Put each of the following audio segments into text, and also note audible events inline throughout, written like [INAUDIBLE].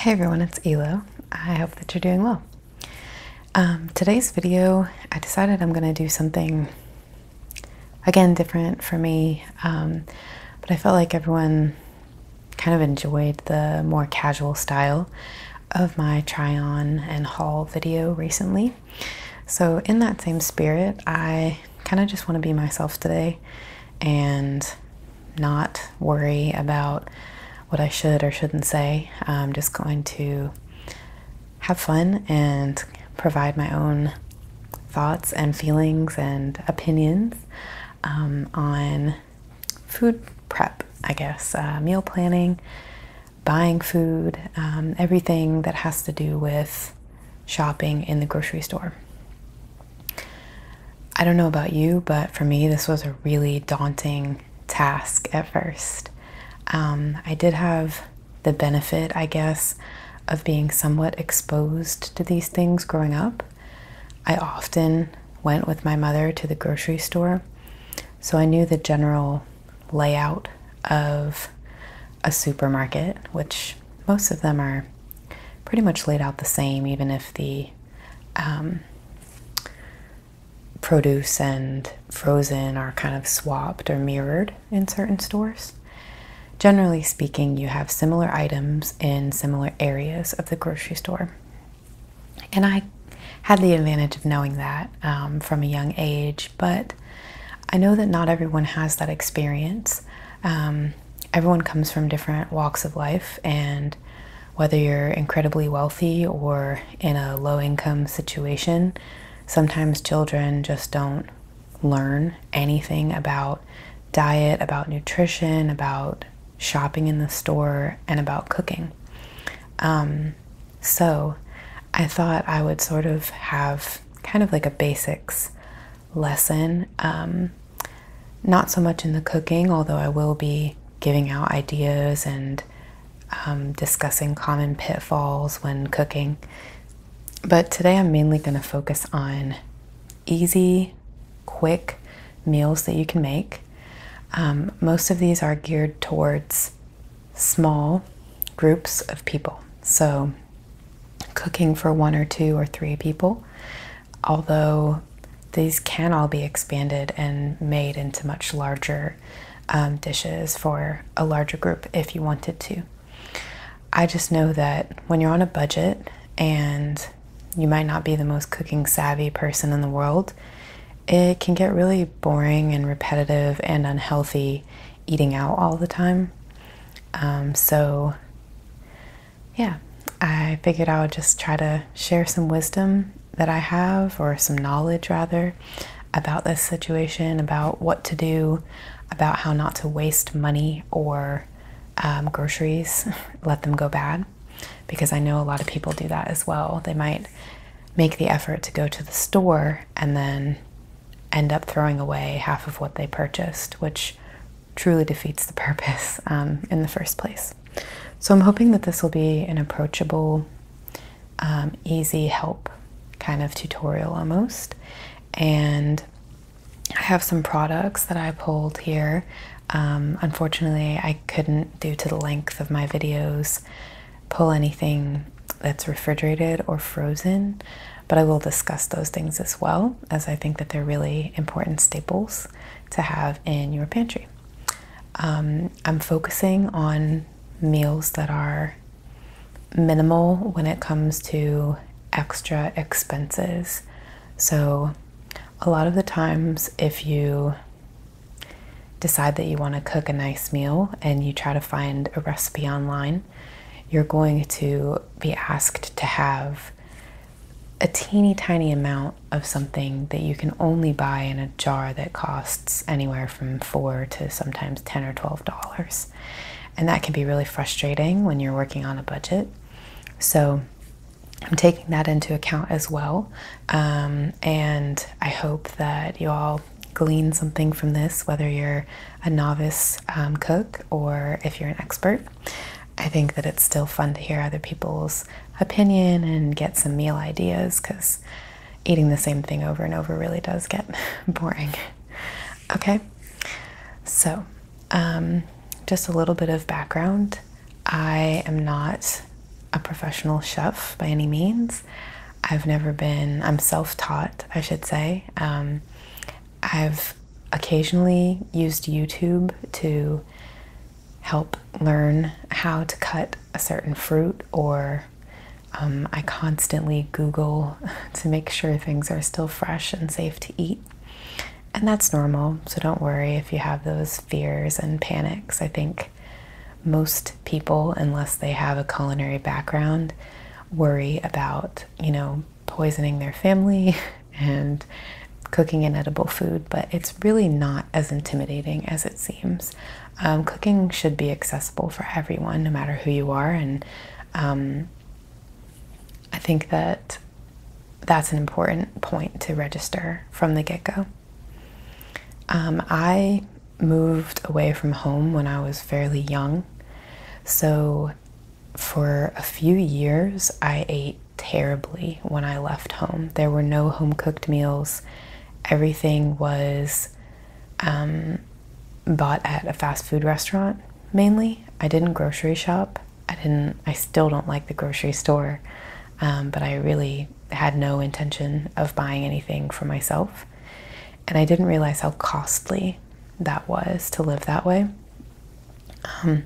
Hey everyone, it's Elo. I hope that you're doing well. Um, today's video, I decided I'm going to do something again different for me, um, but I felt like everyone kind of enjoyed the more casual style of my try on and haul video recently. So, in that same spirit, I kind of just want to be myself today and not worry about what I should or shouldn't say. I'm just going to have fun and provide my own thoughts and feelings and opinions um, on food prep, I guess, uh, meal planning, buying food, um, everything that has to do with shopping in the grocery store. I don't know about you, but for me, this was a really daunting task at first. Um, I did have the benefit, I guess, of being somewhat exposed to these things growing up. I often went with my mother to the grocery store, so I knew the general layout of a supermarket, which most of them are pretty much laid out the same, even if the um, produce and frozen are kind of swapped or mirrored in certain stores. Generally speaking, you have similar items in similar areas of the grocery store. And I had the advantage of knowing that um, from a young age, but I know that not everyone has that experience. Um, everyone comes from different walks of life and whether you're incredibly wealthy or in a low income situation, sometimes children just don't learn anything about diet, about nutrition, about shopping in the store, and about cooking. Um, so I thought I would sort of have kind of like a basics lesson um, not so much in the cooking, although I will be giving out ideas and um, discussing common pitfalls when cooking. But today I'm mainly going to focus on easy, quick meals that you can make. Um, most of these are geared towards small groups of people. So, cooking for one or two or three people although these can all be expanded and made into much larger um, dishes for a larger group if you wanted to. I just know that when you're on a budget and you might not be the most cooking savvy person in the world, it can get really boring and repetitive and unhealthy eating out all the time. Um, so yeah, I figured I would just try to share some wisdom that I have, or some knowledge rather, about this situation, about what to do, about how not to waste money or um, groceries, [LAUGHS] let them go bad. Because I know a lot of people do that as well. They might make the effort to go to the store and then end up throwing away half of what they purchased, which truly defeats the purpose um, in the first place. So I'm hoping that this will be an approachable, um, easy help kind of tutorial almost. And I have some products that I pulled here. Um, unfortunately, I couldn't, due to the length of my videos, pull anything that's refrigerated or frozen, but I will discuss those things as well, as I think that they're really important staples to have in your pantry. Um, I'm focusing on meals that are minimal when it comes to extra expenses. So, a lot of the times, if you decide that you want to cook a nice meal and you try to find a recipe online, you're going to be asked to have a teeny tiny amount of something that you can only buy in a jar that costs anywhere from four to sometimes ten or twelve dollars. And that can be really frustrating when you're working on a budget. So I'm taking that into account as well. Um, and I hope that you all glean something from this, whether you're a novice um, cook or if you're an expert. I think that it's still fun to hear other people's opinion and get some meal ideas because eating the same thing over and over really does get [LAUGHS] boring. Okay, so um, just a little bit of background. I am not a professional chef by any means. I've never been, I'm self taught, I should say. Um, I've occasionally used YouTube to help learn how to cut a certain fruit, or um, I constantly Google [LAUGHS] to make sure things are still fresh and safe to eat. And that's normal, so don't worry if you have those fears and panics. I think most people, unless they have a culinary background, worry about, you know, poisoning their family [LAUGHS] and cooking edible food, but it's really not as intimidating as it seems. Um, cooking should be accessible for everyone, no matter who you are, and um, I think that that's an important point to register from the get go. Um, I moved away from home when I was fairly young, so for a few years I ate terribly when I left home. There were no home cooked meals, everything was um, bought at a fast food restaurant mainly. I didn't grocery shop. I didn't, I still don't like the grocery store, um, but I really had no intention of buying anything for myself. And I didn't realize how costly that was to live that way. Um,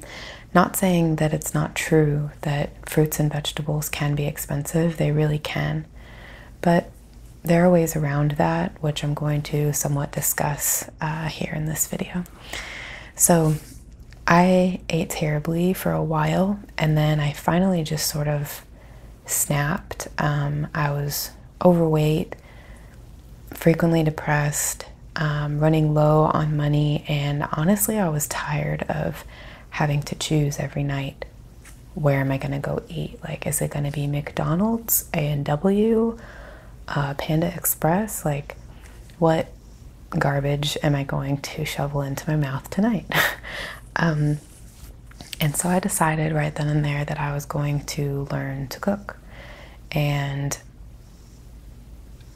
not saying that it's not true that fruits and vegetables can be expensive, they really can. But there are ways around that, which I'm going to somewhat discuss uh, here in this video. So, I ate terribly for a while, and then I finally just sort of snapped. Um, I was overweight, frequently depressed, um, running low on money, and honestly, I was tired of having to choose every night where am I going to go eat? Like, is it going to be McDonald's, A&W, uh, Panda Express? Like, what garbage am I going to shovel into my mouth tonight? [LAUGHS] Um, and so I decided right then and there that I was going to learn to cook. And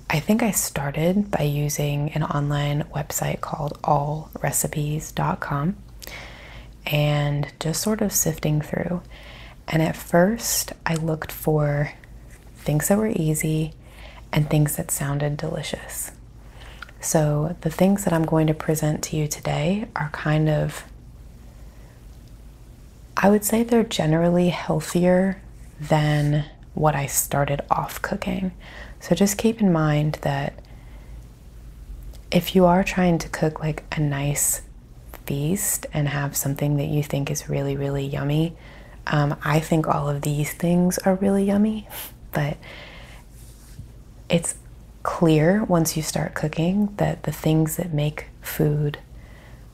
I think I started by using an online website called allrecipes.com and just sort of sifting through. And at first, I looked for things that were easy and things that sounded delicious. So, the things that I'm going to present to you today are kind of, I would say they're generally healthier than what I started off cooking. So just keep in mind that if you are trying to cook like a nice feast and have something that you think is really, really yummy, um, I think all of these things are really yummy, [LAUGHS] but it's clear once you start cooking that the things that make food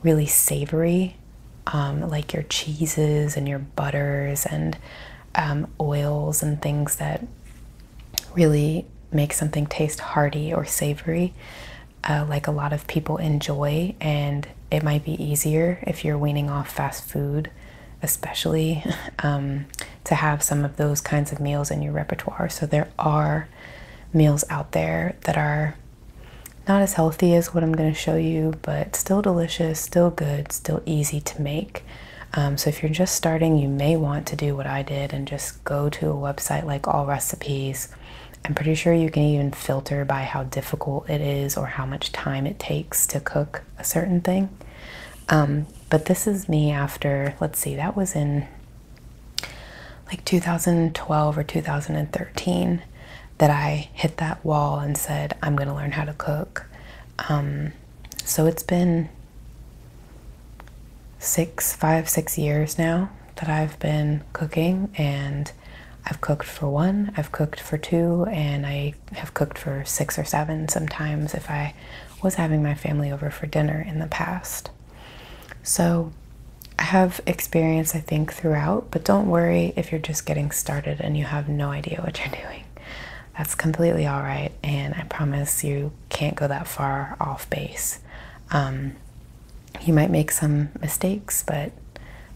really savory um, like your cheeses and your butters and um, oils and things that really make something taste hearty or savory, uh, like a lot of people enjoy. And it might be easier if you're weaning off fast food, especially [LAUGHS] um, to have some of those kinds of meals in your repertoire. So there are meals out there that are not as healthy as what I'm going to show you, but still delicious, still good, still easy to make. Um, so if you're just starting, you may want to do what I did and just go to a website like All Recipes. I'm pretty sure you can even filter by how difficult it is or how much time it takes to cook a certain thing. Um, but this is me after, let's see, that was in like 2012 or 2013 that I hit that wall and said, I'm going to learn how to cook. Um, so it's been six, five, six years now that I've been cooking, and I've cooked for one, I've cooked for two, and I have cooked for six or seven sometimes if I was having my family over for dinner in the past. So I have experience, I think, throughout, but don't worry if you're just getting started and you have no idea what you're [LAUGHS] doing. That's completely all right, and I promise you can't go that far off base. Um, you might make some mistakes, but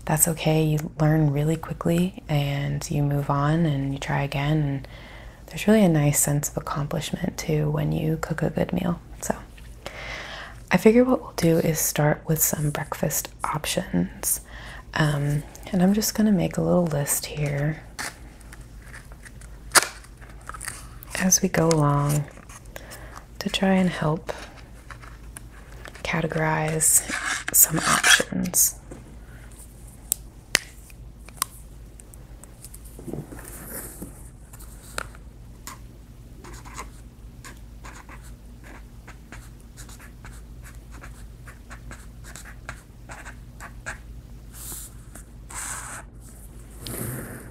that's okay. You learn really quickly and you move on and you try again. And there's really a nice sense of accomplishment too when you cook a good meal. So, I figure what we'll do is start with some breakfast options. Um, and I'm just going to make a little list here as we go along to try and help categorize some options.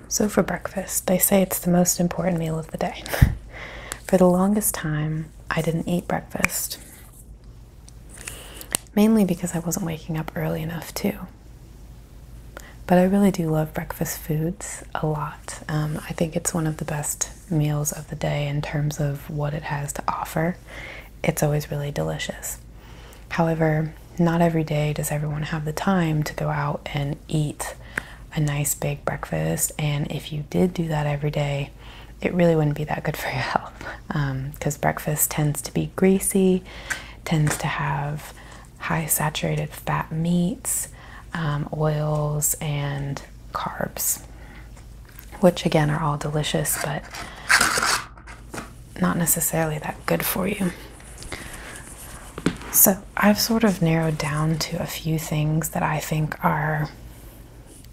So, for breakfast, they say it's the most important meal of the day. [LAUGHS] for the longest time, I didn't eat breakfast, mainly because I wasn't waking up early enough, too. But I really do love breakfast foods a lot. Um, I think it's one of the best meals of the day in terms of what it has to offer, it's always really delicious. However, not every day does everyone have the time to go out and eat a nice big breakfast. And if you did do that every day, it really wouldn't be that good for your [LAUGHS] health because um, breakfast tends to be greasy, tends to have high saturated fat meats, um, oils, and carbs which again are all delicious but not necessarily that good for you. So, I've sort of narrowed down to a few things that I think are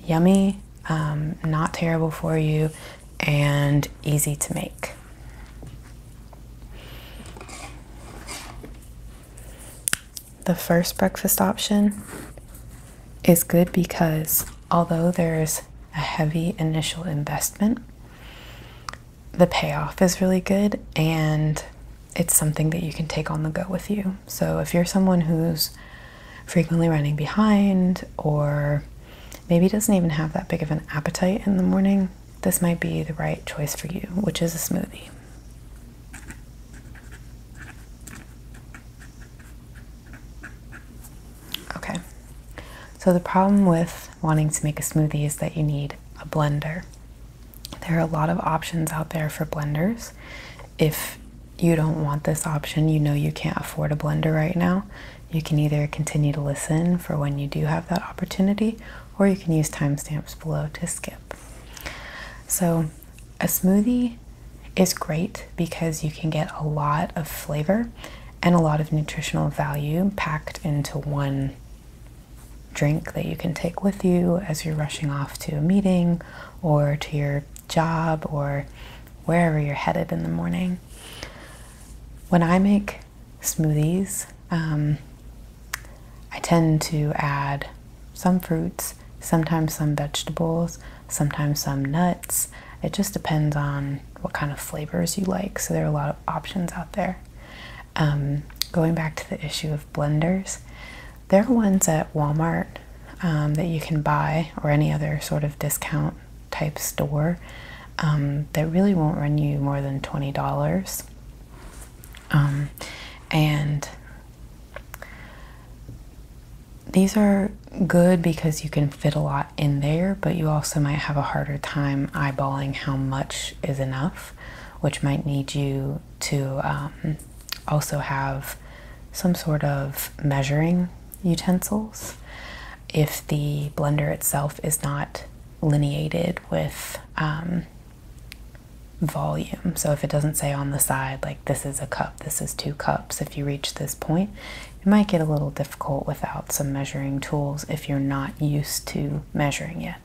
yummy, um, not terrible for you, and easy to make the first breakfast option is good because although there's a heavy initial investment, the payoff is really good and it's something that you can take on the go with you. So if you're someone who's frequently running behind or maybe doesn't even have that big of an appetite in the morning, this might be the right choice for you, which is a smoothie. Okay, so the problem with wanting to make a smoothie is that you need a blender. There are a lot of options out there for blenders. If you don't want this option, you know you can't afford a blender right now. You can either continue to listen for when you do have that opportunity, or you can use timestamps below to skip. So, a smoothie is great because you can get a lot of flavor and a lot of nutritional value packed into one drink that you can take with you as you're rushing off to a meeting or to your job or wherever you're headed in the morning. When I make smoothies, um, I tend to add some fruits, sometimes some vegetables, sometimes some nuts. It just depends on what kind of flavors you like. So there are a lot of options out there. Um, going back to the issue of blenders, there are ones at Walmart um, that you can buy or any other sort of discount type store um, that really won't run you more than $20. and these are good because you can fit a lot in there, but you also might have a harder time eyeballing how much is enough, which might need you to um, also have some sort of measuring utensils. If the blender itself is not lineated with um, volume. So if it doesn't say on the side, like this is a cup, this is two cups, if you reach this point, it might get a little difficult without some measuring tools if you're not used to measuring yet,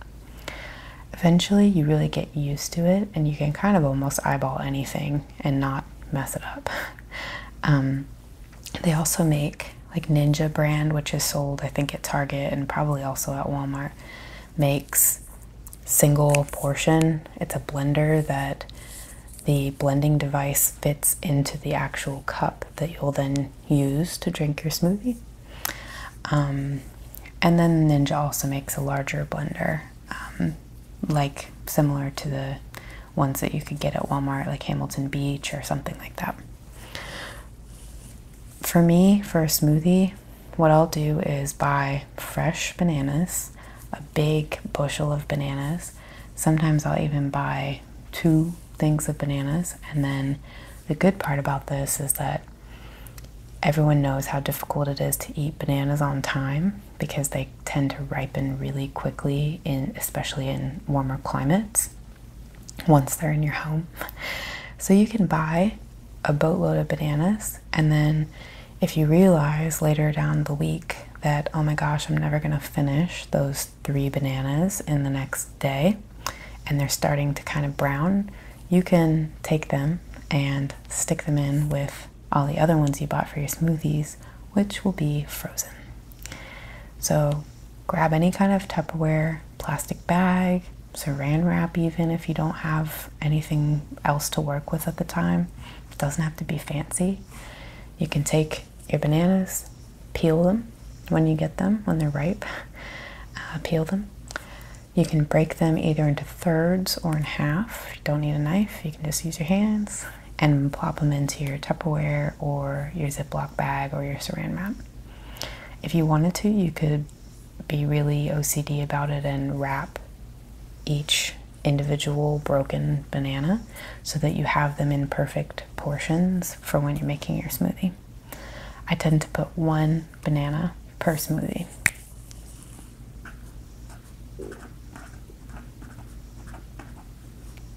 Eventually, you really get used to it and you can kind of almost eyeball anything and not mess it up. [LAUGHS] Um, they also make like Ninja brand, which is sold, I think, at Target and probably also at Walmart, makes single portion. It's a blender that the blending device fits into the actual cup that you'll then use to drink your smoothie. Um, and then Ninja also makes a larger blender, um, like similar to the ones that you could get at Walmart, like Hamilton Beach or something like that. For me, for a smoothie, what I'll do is buy fresh bananas a big bushel of bananas. Sometimes I'll even buy two things of bananas. And then the good part about this is that everyone knows how difficult it is to eat bananas on time because they tend to ripen really quickly especially in warmer climates once they're in your home. [LAUGHS] So you can buy a boatload of bananas and then if you realize later down the week that, oh my gosh, I'm never going to finish those three bananas in the next day and they're starting to kind of brown, you can take them and stick them in with all the other ones you bought for your smoothies, which will be frozen. So grab any kind of Tupperware, plastic bag, saran wrap, even if you don't have anything else to work with at the time. It doesn't have to be fancy. You can take your bananas, peel them when you get them, when they're ripe, [LAUGHS] uh, peel them. You can break them either into thirds or in half. If you don't need a knife, you can just use your hands and plop them into your Tupperware or your Ziploc bag or your saran wrap. If you wanted to, you could be really OCD about it and wrap each individual broken banana so that you have them in perfect portions for when you're making your smoothie. I tend to put one banana per smoothie.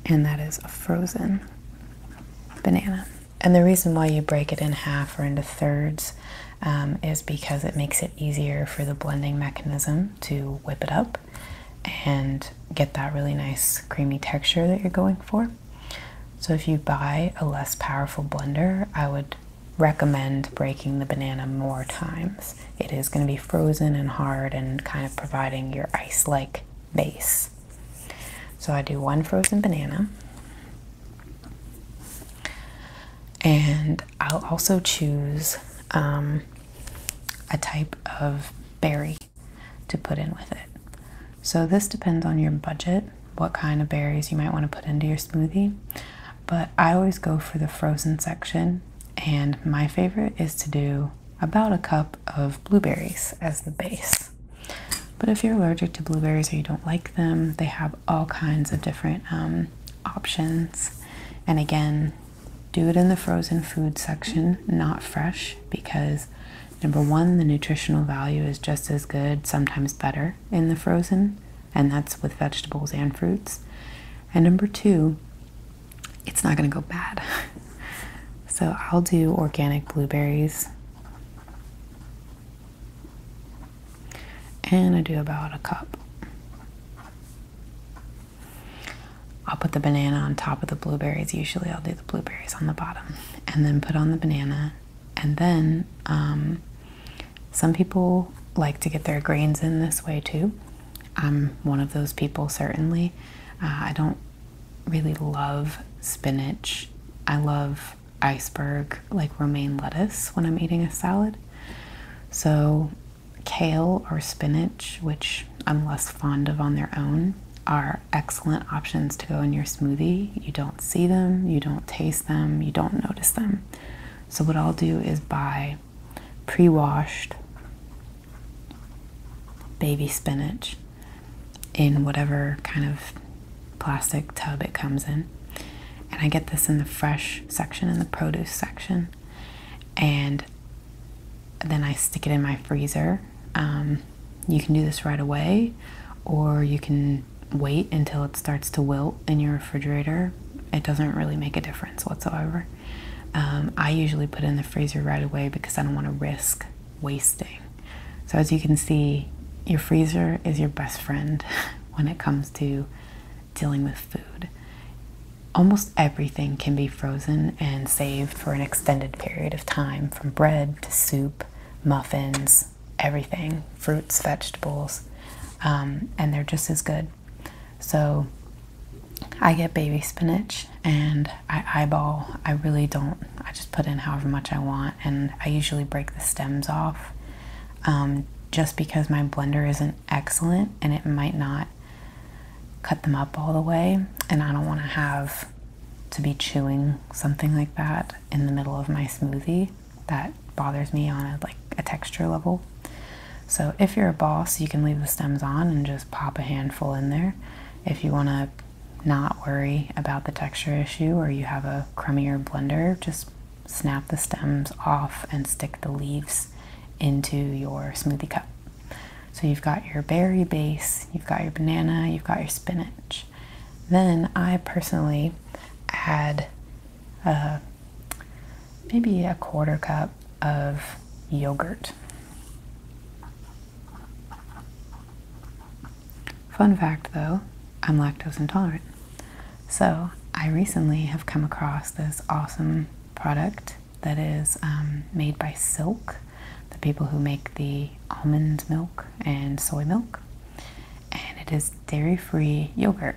And that is a frozen banana. And the reason why you break it in half or into thirds um, is because it makes it easier for the blending mechanism to whip it up and get that really nice creamy texture that you're going for. So, if you buy a less powerful blender, I would recommend breaking the banana more times. It is going to be frozen and hard and kind of providing your ice like base. So, I do one frozen banana. And I'll also choose um, a type of berry to put in with it. So this depends on your budget, what kind of berries you might want to put into your smoothie. But I always go for the frozen section, and my favorite is to do about a cup of blueberries as the base. But if you're allergic to blueberries or you don't like them, they have all kinds of different um, options and again, do it in the frozen food section, not fresh, because number one, the nutritional value is just as good, sometimes better, in the frozen, and that's with vegetables and fruits. And number two, it's not going to go bad. [LAUGHS] so I'll do organic blueberries. And I do about a cup. I'll put the banana on top of the blueberries. Usually, I'll do the blueberries on the bottom and then put on the banana. And then um, some people like to get their grains in this way too. I'm one of those people, certainly. Uh, I don't really love spinach. I love iceberg, like romaine lettuce, when I'm eating a salad. So Kale or spinach, which I'm less fond of on their own, are excellent options to go in your smoothie. You don't see them, you don't taste them, you don't notice them. So, what I'll do is buy pre washed baby spinach in whatever kind of plastic tub it comes in. And I get this in the fresh section in the produce section and then I stick it in my freezer. Um, you can do this right away, or you can wait until it starts to wilt in your refrigerator. It doesn't really make a difference whatsoever. Um, I usually put it in the freezer right away because I don't want to risk wasting. So, as you can see, your freezer is your best friend [LAUGHS] when it comes to dealing with food. Almost everything can be frozen and saved for an extended period of time from bread to soup, muffins, everything, fruits, vegetables, um, and they're just as good. So I get baby spinach and I eyeball. I really don't, I just put in however much I want, and I usually break the stems off um, just because my blender isn't excellent and it might not cut them up all the way. And I don't want to have to be chewing something like that in the middle of my smoothie. That bothers me on a, like a texture level. So if you're a boss, you can leave the stems on and just pop a handful in there. If you want to not worry about the texture issue or you have a crumbier blender, just snap the stems off and stick the leaves into your smoothie cup. So you've got your berry base, you've got your banana, you've got your spinach. Then I personally add uh, maybe a quarter cup of yogurt. Fun fact though, I'm lactose intolerant. So I recently have come across this awesome product that is um, made by Silk, the people who make the almond milk and soy milk. And it is dairy free yogurt.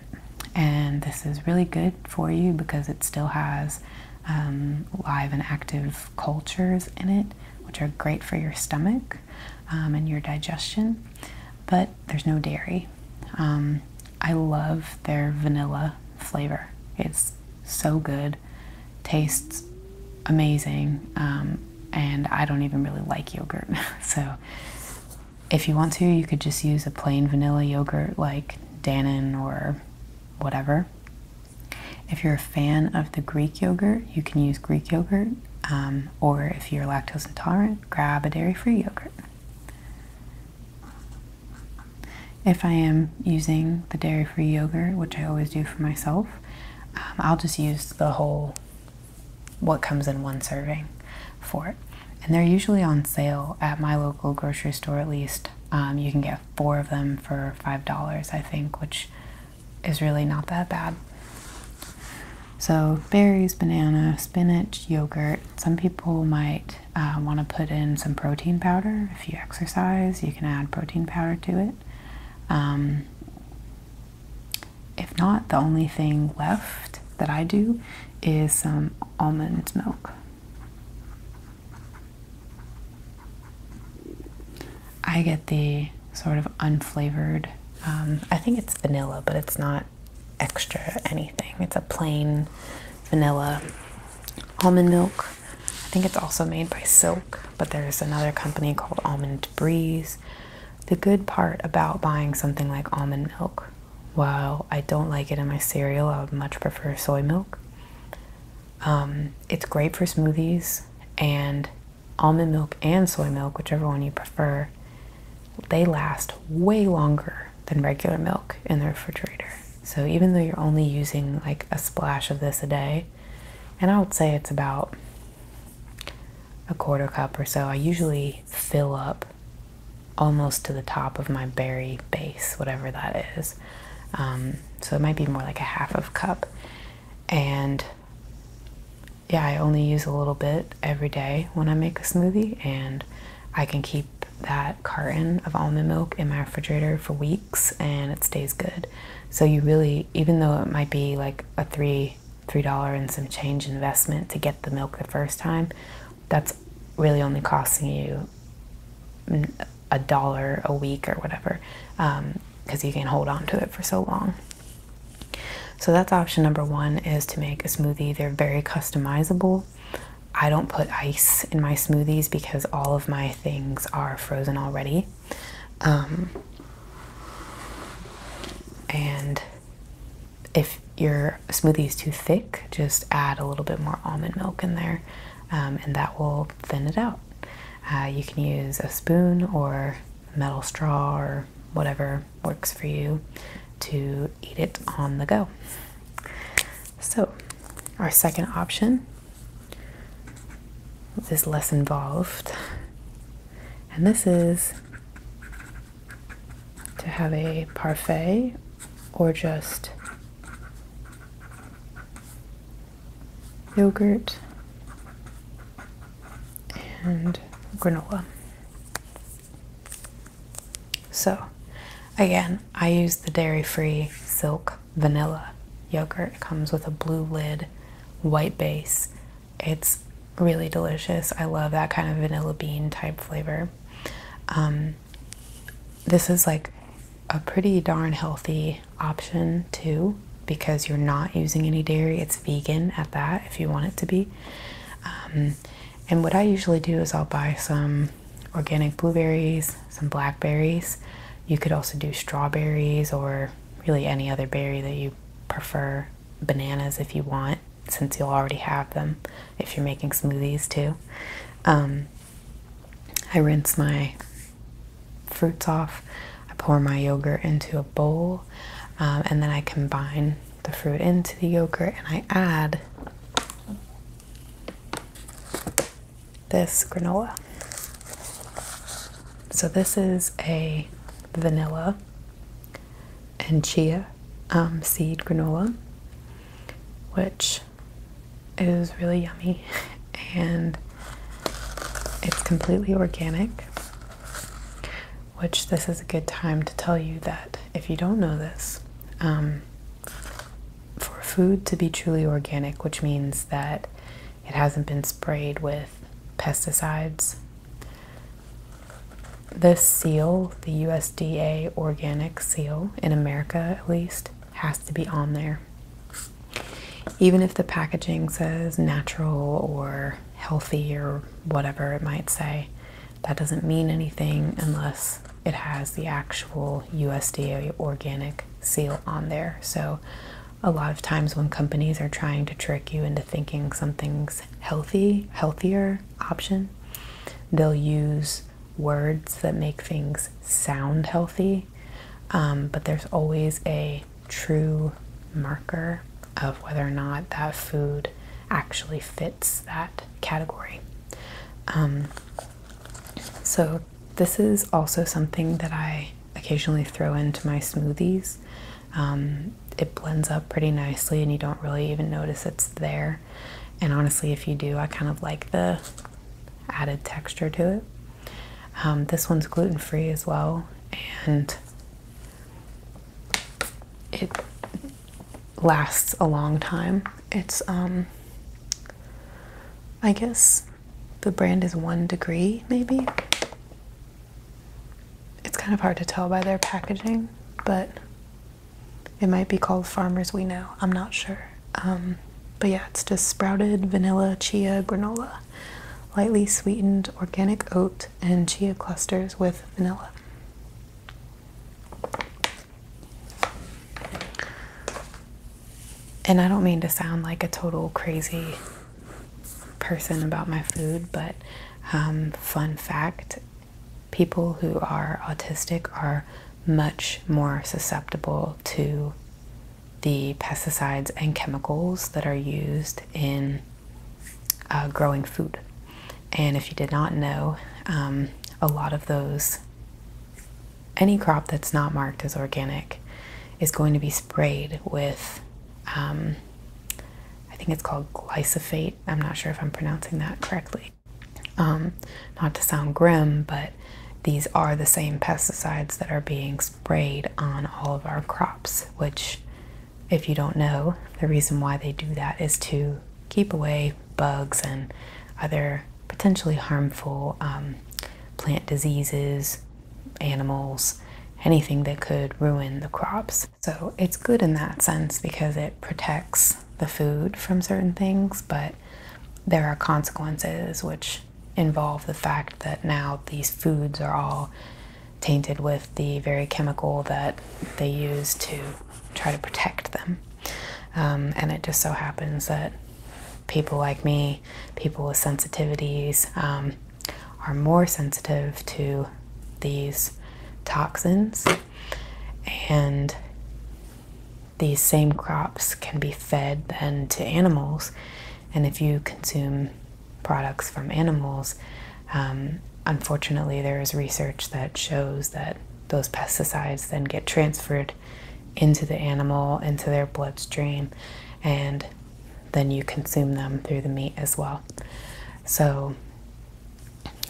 And this is really good for you because it still has um, live and active cultures in it, which are great for your stomach um, and your digestion. But there's no dairy. I love their vanilla flavor. It's so good, tastes amazing, um, and I don't even really like yogurt. [LAUGHS] so, if you want to, you could just use a plain vanilla yogurt like Dannon or whatever. If you're a fan of the Greek yogurt, you can use Greek yogurt, um, or if you're lactose intolerant, grab a dairy free yogurt. If I am using the dairy free yogurt, which I always do for myself, um, I'll just use the whole what comes in one serving for it. And they're usually on sale at my local grocery store, at least. Um, you can get four of them for $5, I think, which is really not that bad. So, berries, banana, spinach, yogurt. Some people might might uh, want to put in some protein powder. If you exercise, you can add protein powder to it. Um, if not, the only thing left that I do is some almond milk. I get the sort of unflavored, um, I think it's vanilla, but it's not extra anything. It's a plain vanilla almond milk. I think it's also made by Silk, but there's another company called Almond Breeze. The good part about buying something like almond milk, while I don't like it in my cereal, I would much prefer soy milk. Um, it's great for smoothies and almond milk and soy milk, whichever one you prefer, they last way longer than regular milk in the refrigerator. So even though you're only using like a splash of this a day, and I would say it's about a quarter cup or so, I usually fill up almost to the top of my berry base, whatever that is. Um, so it might be more like a half of cup. And yeah, I only use a little bit every day when I make a smoothie, and I can keep that carton of almond milk in my refrigerator for weeks and it stays good. So you really, even though it might be like a three three dollar and some change investment to get the milk the first time, that's really only costing you a dollar a week or whatever because um, you can hold on to it for so long. So that's option number one is to make a smoothie. They're very customizable. I don't put ice in my smoothies because all of my things are frozen already. Um, and if your smoothie is too thick, just add a little bit more almond milk in there, um, and that will thin it out. Uh, you can use a spoon or metal straw or whatever works for you to eat it on the go. So, our second option is less involved, and this is to have a parfait or just yogurt and granola. So, again, I use the dairy free silk vanilla yogurt. It comes with a blue lid, white base. It's really delicious. I love that kind of vanilla bean type flavor. Um, this is like a pretty darn healthy option too because you're not using any dairy. It's vegan at that if you want it to be. Um, and what I usually do is I'll buy some organic blueberries, some blackberries. You could also do strawberries or really any other berry that you prefer, bananas if you want, since you'll already have them if you're making smoothies too. Um, I rinse my fruits off, I pour my yogurt into a bowl, um, and then I combine the fruit into the yogurt and I add this granola. So this is a vanilla and chia um, seed granola, which is really yummy [LAUGHS] and it's completely organic, which this is a good time to tell you that if you don't know this, um, for food to be truly organic, which means that it hasn't been sprayed with pesticides. This seal, the USDA organic seal, in America at least, has to be on there. Even if the packaging says natural or healthy or whatever it might say, that doesn't mean anything unless it has the actual USDA organic seal on there. So, a lot of times when companies are trying to trick you into thinking something's healthy, healthier option, they'll use words that make things sound healthy. Um, but there's always a true marker of whether or not that food actually fits that category. Um, so, this is also something that I occasionally throw into my smoothies. Um, it blends up pretty nicely, and you don't really even notice it's there. And honestly, if you do, I kind of like the added texture to it. Um, this one's gluten free as well, and it lasts a long time. It's, um, I guess the brand is one degree, maybe. It's kind of hard to tell by their packaging, but it might be called Farmers We Know. I'm not sure. Um, but yeah, it's just sprouted vanilla chia granola, lightly sweetened organic oat, and chia clusters with vanilla. And I don't mean to sound like a total crazy person about my food, but um, fun fact people who are autistic are much more susceptible to the pesticides and chemicals that are used in uh, growing food. And if you did not know, um, a lot of those, any crop that's not marked as organic, is going to be sprayed with, um, I think it's called glyphosate. I'm not sure if I'm pronouncing that correctly. Um, not to sound grim, but these are the same pesticides that are being sprayed on all of our crops, which, if you don't know, the reason why they do that is to keep away bugs and other potentially harmful um, plant diseases, animals, anything that could ruin the crops. So it's good in that sense because it protects the food from certain things, but there are consequences which involve the fact that now these foods are all tainted with the very chemical that they use to try to protect them. Um, and it just so happens that people like me, people with sensitivities, um, are more sensitive to these toxins. And these same crops can be fed then to animals. And if you consume products from animals, um, unfortunately, there is research that shows that those pesticides then get transferred into the animal, into their bloodstream, and then you consume them through the meat as well. So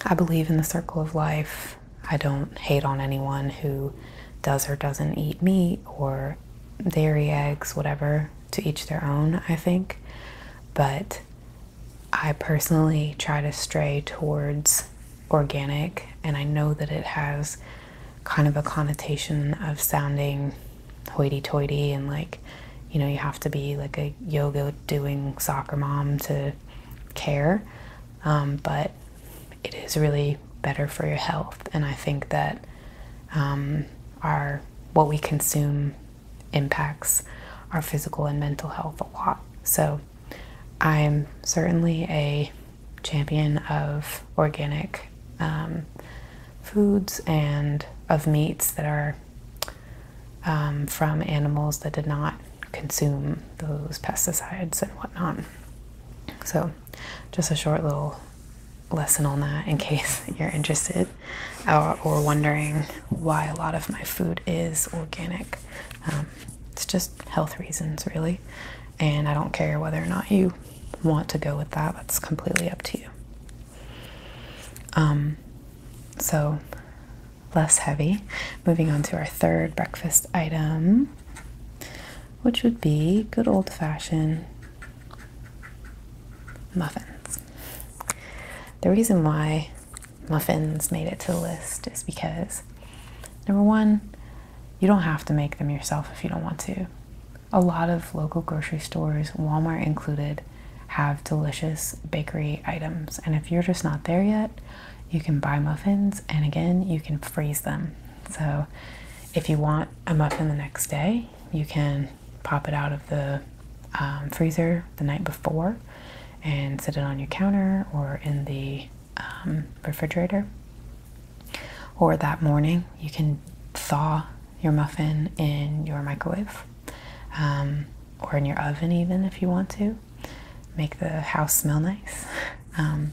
I believe in the circle of life. I don't hate on anyone who does or doesn't eat meat or dairy, eggs, whatever, to each their own, I think. But I personally try to stray towards organic, and I know that it has kind of a connotation of sounding hoity toity and like, you know, you have to be like a yoga doing soccer mom to care. Um, but it is really better for your health, and I think that um, our what we consume impacts our physical and mental health a lot. So I'm certainly a champion of organic um, foods and of meats that are um, from animals that did not consume those pesticides and whatnot. So, just a short little lesson on that in [LAUGHS] case you're interested uh, or wondering why a lot of my food is organic um, it's just health reasons, really. And I don't care whether or not you want to go with that, that's completely up to you. Um, so, less heavy. Moving on to our third breakfast item, which would be good old fashioned muffins. The reason why muffins made it to the list is because number one, you don't have to make them yourself if you don't want to. A lot of local grocery stores, Walmart included, have delicious bakery items. And if you're just not there yet, you can buy muffins and again, you can freeze them. So if you want a muffin the next day, you can pop it out of the um, freezer the night before and set it on your counter or in the um, refrigerator. Or that morning, you can thaw your muffin in your microwave um, or in your oven, even if you want to. Make the house smell nice. [LAUGHS] Um,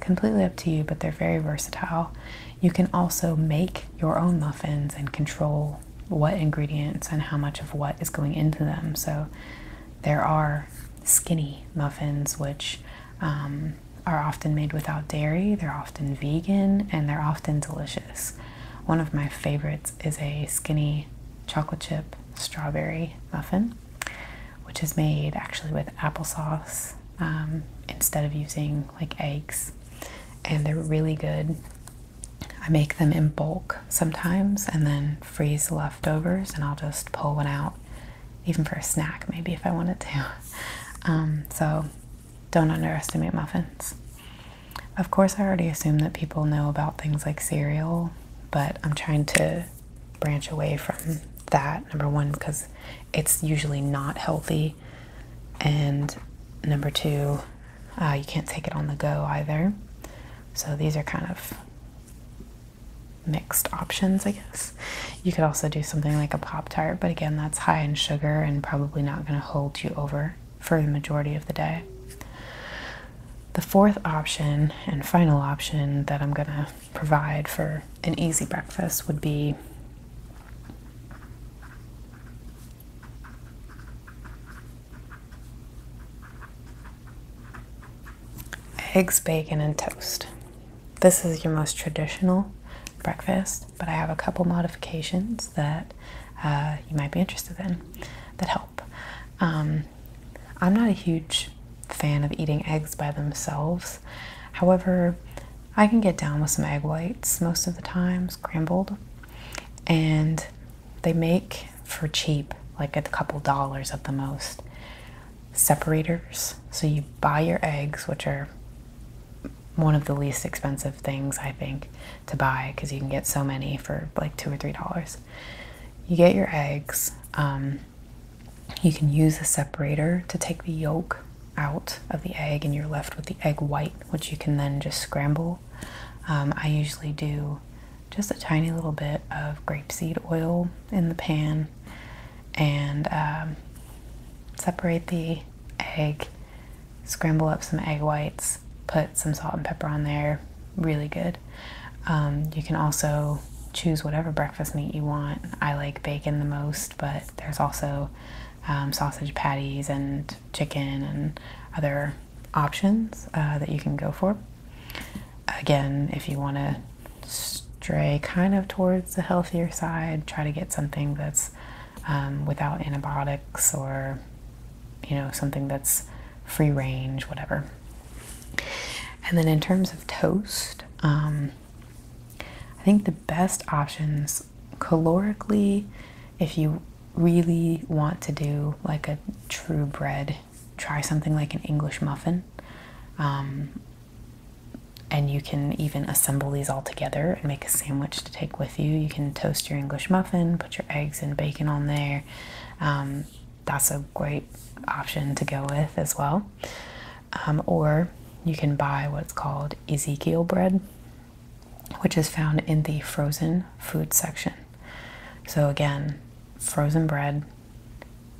completely up to you, but they're very versatile. You can also make your own muffins and control what ingredients and how much of what is going into them. So there are skinny muffins, which um, are often made without dairy, they're often vegan, and they're often delicious. One of my favorites is a skinny chocolate chip strawberry muffin, which is made actually with applesauce um, instead of using like eggs, and they're really good. I make them in bulk sometimes and then freeze leftovers, and I'll just pull one out even for a snack, maybe if I wanted to. Um, so don't underestimate muffins. Of course, I already assume that people know about things like cereal, but I'm trying to branch away from that, number one, because it's usually not healthy, and number two, uh, you can't take it on the go either. So these are kind of mixed options, I guess. You could also do something like a Pop Tart, but again, that's high in sugar and probably not going to hold you over for the majority of the day. The fourth option and final option that I'm going to provide for an easy breakfast would be Eggs, bacon, and toast. This is your most traditional breakfast, but I have a couple modifications that uh, you might be interested in that help. Um, I'm not a huge fan of eating eggs by themselves. However, I can get down with some egg whites most of the time, scrambled, and they make for cheap, like a couple dollars at the most separators. So you buy your eggs, which are one of the least expensive things I think to buy because you can get so many for like two or three dollars. You get your eggs. Um, you can use a separator to take the yolk out of the egg, and you're left with the egg white, which you can then just scramble. Um, I usually do just a tiny little bit of grapeseed oil in the pan and um, separate the egg, scramble up some egg whites, put some salt and pepper on there. Really good. Um, you can also choose whatever breakfast meat you want. I like bacon the most, but there's also um, sausage patties and chicken and other options uh, that you can go for. Again, if you want to stray kind of towards the healthier side, try to get something that's um, without antibiotics or you know something that's free range, whatever. And then in terms of toast, um, I think the best options calorically, if you really want to do like a true bread try something like an English muffin. Um, and you can even assemble these all together and make a sandwich to take with you. You can toast your English muffin, put your eggs and bacon on there. Um, that's a great option to go with as well. Um, or you can buy what's called Ezekiel bread, which is found in the frozen food section. So, again, frozen bread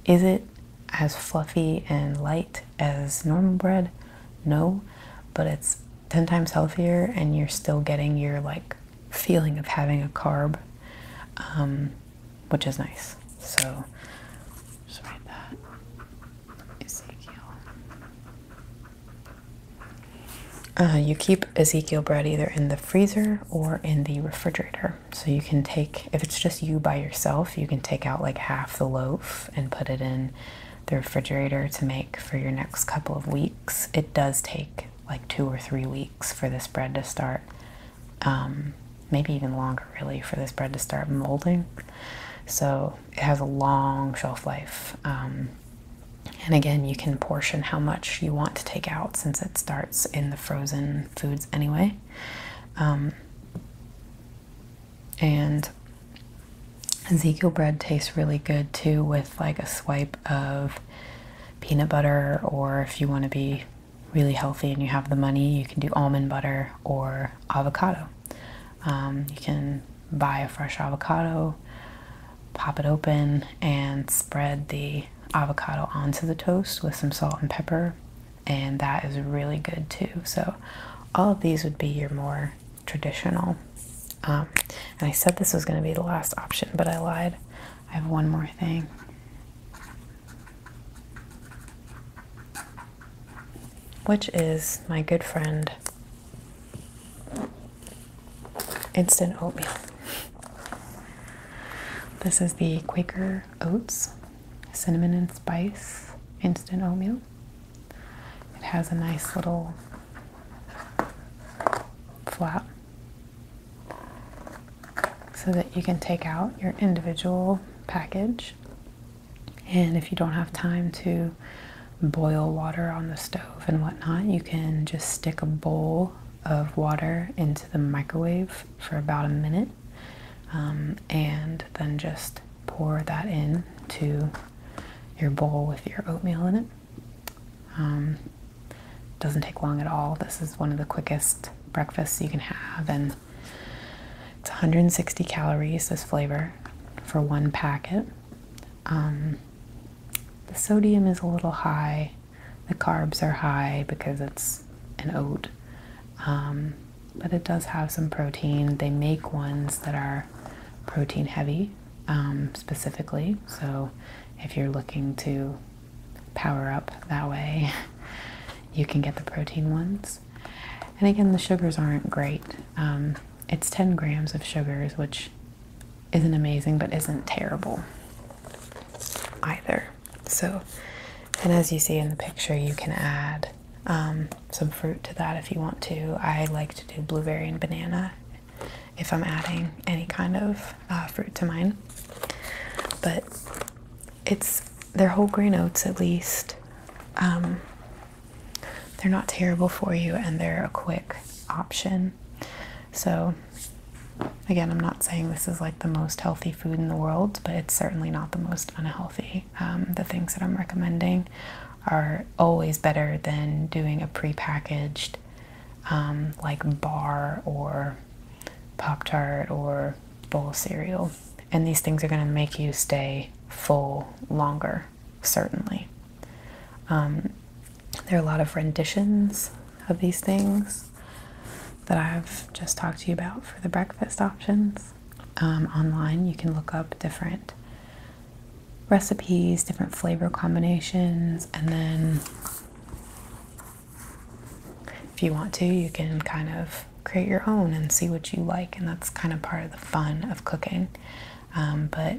is it as fluffy and light as normal bread? No, but it's 10 times healthier and you're still getting your like feeling of having a carb, um, which is nice. So just write that. Ezekiel. Uh, you keep Ezekiel bread either in the freezer or in the refrigerator. So you can take, if it's just you by yourself, you can take out like half the loaf and put it in the refrigerator to make for your next couple of weeks. It does take like two or three weeks for this bread to start, um, maybe even longer really, for this bread to start molding. So it has a long shelf life. Um, and again, you can portion how much you want to take out since it starts in the frozen foods anyway. Um, and Ezekiel bread tastes really good too with like a swipe of peanut butter, or if you want to be really healthy and you have the money, you can do almond butter or avocado. Um, you can buy a fresh avocado, pop it open, and spread the avocado onto the toast with some salt and pepper and that is really good too. So, all of these would be your more traditional. Um, and I said this was going to be the last option, but I lied. I have one more thing. Which is my good friend instant oatmeal. This is the Quaker Oats cinnamon and spice instant oatmeal. It has a nice little flap so that you can take out your individual package. And if you don't have time to boil water on the stove and whatnot, you can just stick a bowl of water into the microwave for about a minute um, and then just pour that in to your bowl with your oatmeal in it. Um, doesn't take long at all. This is one of the quickest breakfasts you can have, and it's 160 calories. This flavor for one packet. Um, the sodium is a little high. The carbs are high because it's an oat, um, but it does have some protein. They make ones that are protein heavy um, specifically, so if you're looking to power up that way, [LAUGHS] you can get the protein ones. And again, the sugars aren't great. Um, it's 10 grams of sugars, which isn't amazing but isn't terrible either. So, and as you see in the picture, you can add um, some fruit to that if you want to. I like to do blueberry and banana if I'm adding any kind of uh, fruit to mine. But it's they're whole grain oats at least. Um, they're not terrible for you and they're a quick option. So Again, I'm not saying this is like the most healthy food in the world, but it's certainly not the most unhealthy. Um, the things that I'm recommending are always better than doing a prepackaged, um, like bar or Pop Tart or bowl cereal. And these things are going to make you stay full longer, certainly. Um, there are a lot of renditions of these things that I've just talked to you about for the breakfast options. Um, online, you can look up different recipes, different flavor combinations, and then if you want to, you can kind of create your own and see what you like, and that's kind of part of the fun of cooking. Um, but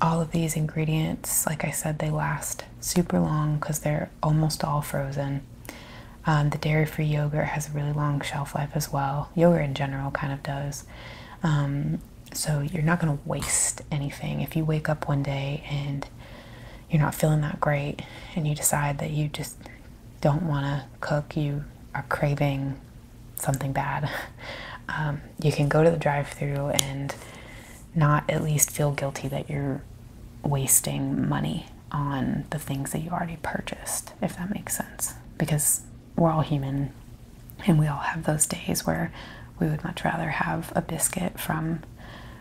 all of these ingredients, like I said, they last super long because they're almost all frozen. Um, the dairy free yogurt has a really long shelf life as well. Yogurt in general kind of does. Um, so you're not going to waste anything. If you wake up one day and you're not feeling that great and you decide that you just don't want to cook, you are craving something bad, [LAUGHS] um, you can go to the drive through and not at least feel guilty that you're wasting money on the things that you already purchased, if that makes sense. Because we're all human and we all have those days where we would much rather have a biscuit from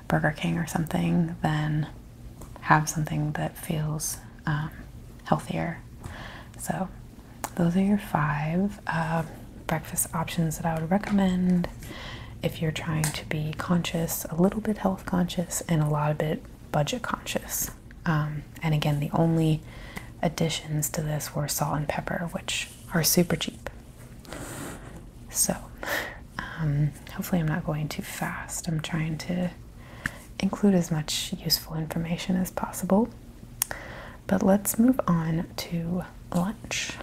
Burger King or something than have something that feels um, healthier. So, those are your five uh, breakfast options that I would recommend if you're trying to be conscious, a little bit healthier conscious and a lot of it budget conscious. Um, and again, the only additions to this were salt and pepper, which are super cheap. So, um, hopefully, I'm not going too fast. I'm trying to include as much useful information as possible. But let's move on to lunch.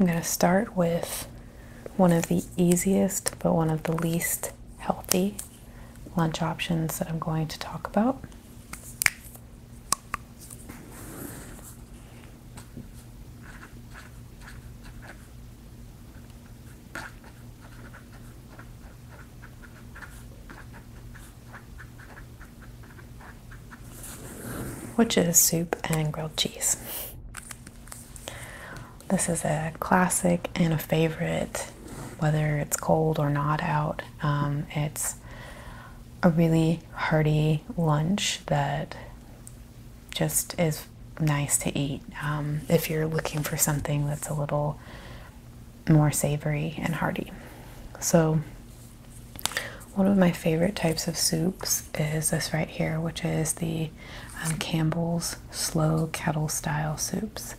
I'm going to start with one of the easiest but one of the least healthy lunch options that I'm going to talk about which is soup and grilled cheese. This is a classic and a favorite, whether it's cold or not out. Um, it's a really hearty lunch that just is nice to eat um, if you're looking for something that's a little more savory and hearty. So, one of my favorite types of soups is this right here, which is the um, Campbell's Slow Kettle Style Soups.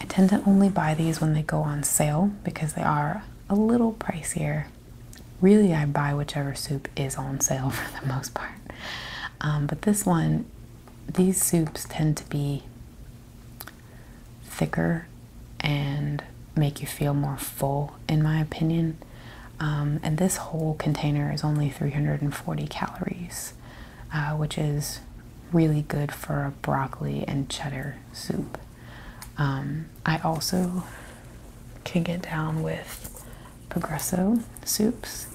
I tend to only buy these when they go on sale because they are a little pricier. Really, I buy whichever soup is on sale [LAUGHS] for the most part. Um, but this one, these soups tend to be thicker and make you feel more full, in my opinion. Um, and this whole container is only 340 calories, uh, which is really good for a broccoli and cheddar soup. Um, I also can get down with Progresso soups.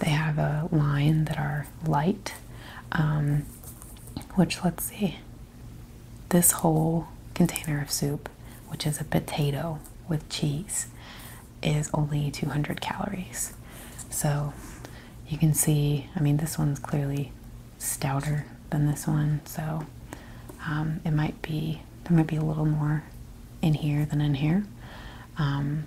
They have a line that are light, um, which let's see, this whole container of soup, which is a potato with cheese, is only 200 calories. So you can see, I mean, this one's clearly stouter than this one, so um, it might be, there might be a little more in here than in here. Um,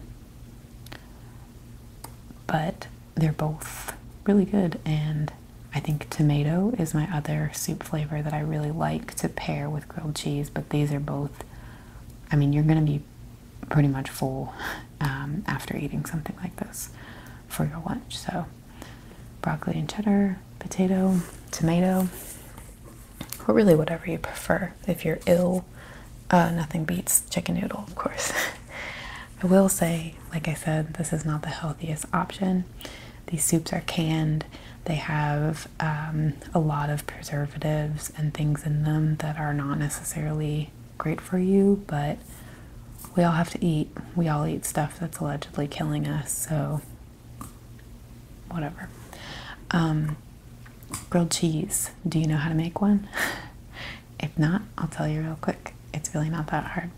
but they're both really good, and I think tomato is my other soup flavor that I really like to pair with grilled cheese. But these are both, I mean, you're going to be pretty much full um, after eating something like this for your lunch. So, broccoli and cheddar, potato, tomato or really whatever you prefer. If you're ill, uh, nothing beats chicken noodle, of course. [LAUGHS] I will say, like I said, this is not the healthiest option. These soups are canned, they have um, a lot of preservatives and things in them that are not necessarily great for you, but we all have to eat. We all eat stuff that's allegedly killing us, so whatever. Um, Grilled cheese. Do you know how to make one? [LAUGHS] if not, I'll tell you real quick. It's really not that hard.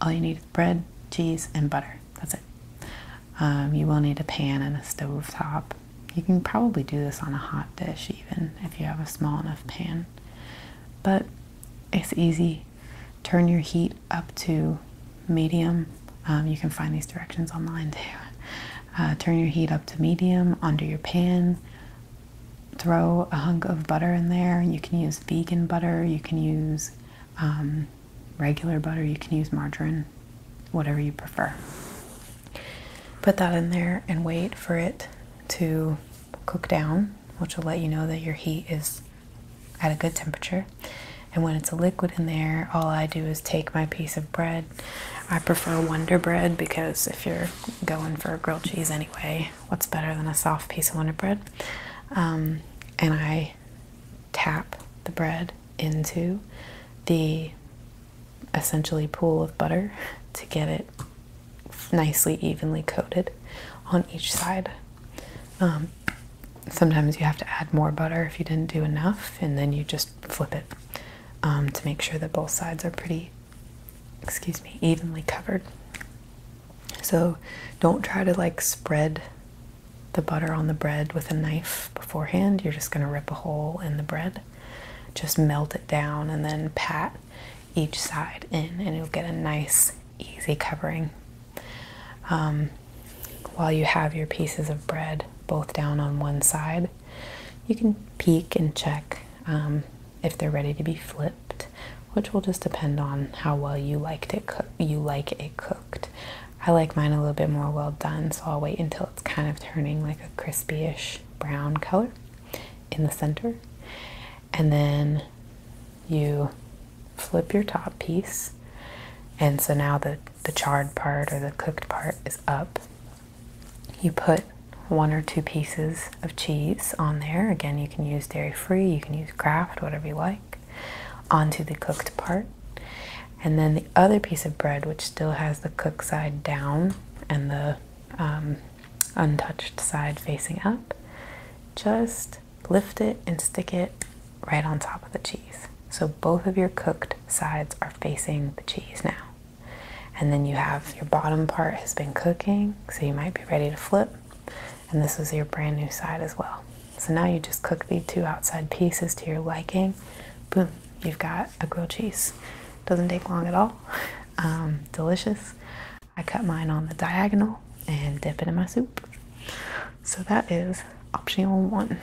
All you need is bread, cheese, and butter. That's it. Um, you will need a pan and a stove top. You can probably do this on a hot dish, even if you have a small enough pan. But it's easy. Turn your heat up to medium. Um, you can find these directions online too. Uh, turn your heat up to medium under your pan. Throw a hunk of butter in there. You can use vegan butter, you can use um, regular butter, you can use margarine, whatever you prefer. Put that in there and wait for it to cook down, which will let you know that your heat is at a good temperature. And when it's a liquid in there, all I do is take my piece of bread I prefer Wonder Bread because if you're going for grilled cheese anyway, what's better than a soft piece of Wonder Bread? Um, and I tap the bread into the essentially pool of butter to get it nicely evenly coated on each side. Um, sometimes you have to add more butter if you didn't do enough, and then you just flip it. Um, to make sure that both sides are pretty, excuse me, evenly covered. So don't try to like spread the butter on the bread with a knife beforehand. You're just going to rip a hole in the bread. Just melt it down and then pat each side in, and you'll get a nice, easy covering. Um, while you have your pieces of bread both down on one side, you can peek and check um, if they're ready to be flipped, which will just depend on how well you liked it. You like it cooked. I like mine a little bit more well done, so I'll wait until it's kind of turning like a crispy-ish brown color in the center, and then you flip your top piece. And so now the the charred part or the cooked part is up you put one or two pieces of cheese on there. Again, you can use dairy free, you can use Kraft, whatever you like, onto the cooked part. And then the other piece of bread, which still has the cooked side down and the um, untouched side facing up, just lift it and stick it right on top of the cheese. So both of your cooked sides are facing the cheese now. And then you have your bottom part has been cooking, so you might be ready to flip. And this is your brand new side as well. So now you just cook the two outside pieces to your liking. Boom, you've got a grilled cheese. Doesn't take long at all. Um, delicious. I cut mine on the diagonal and dip it in my soup. So that is option one.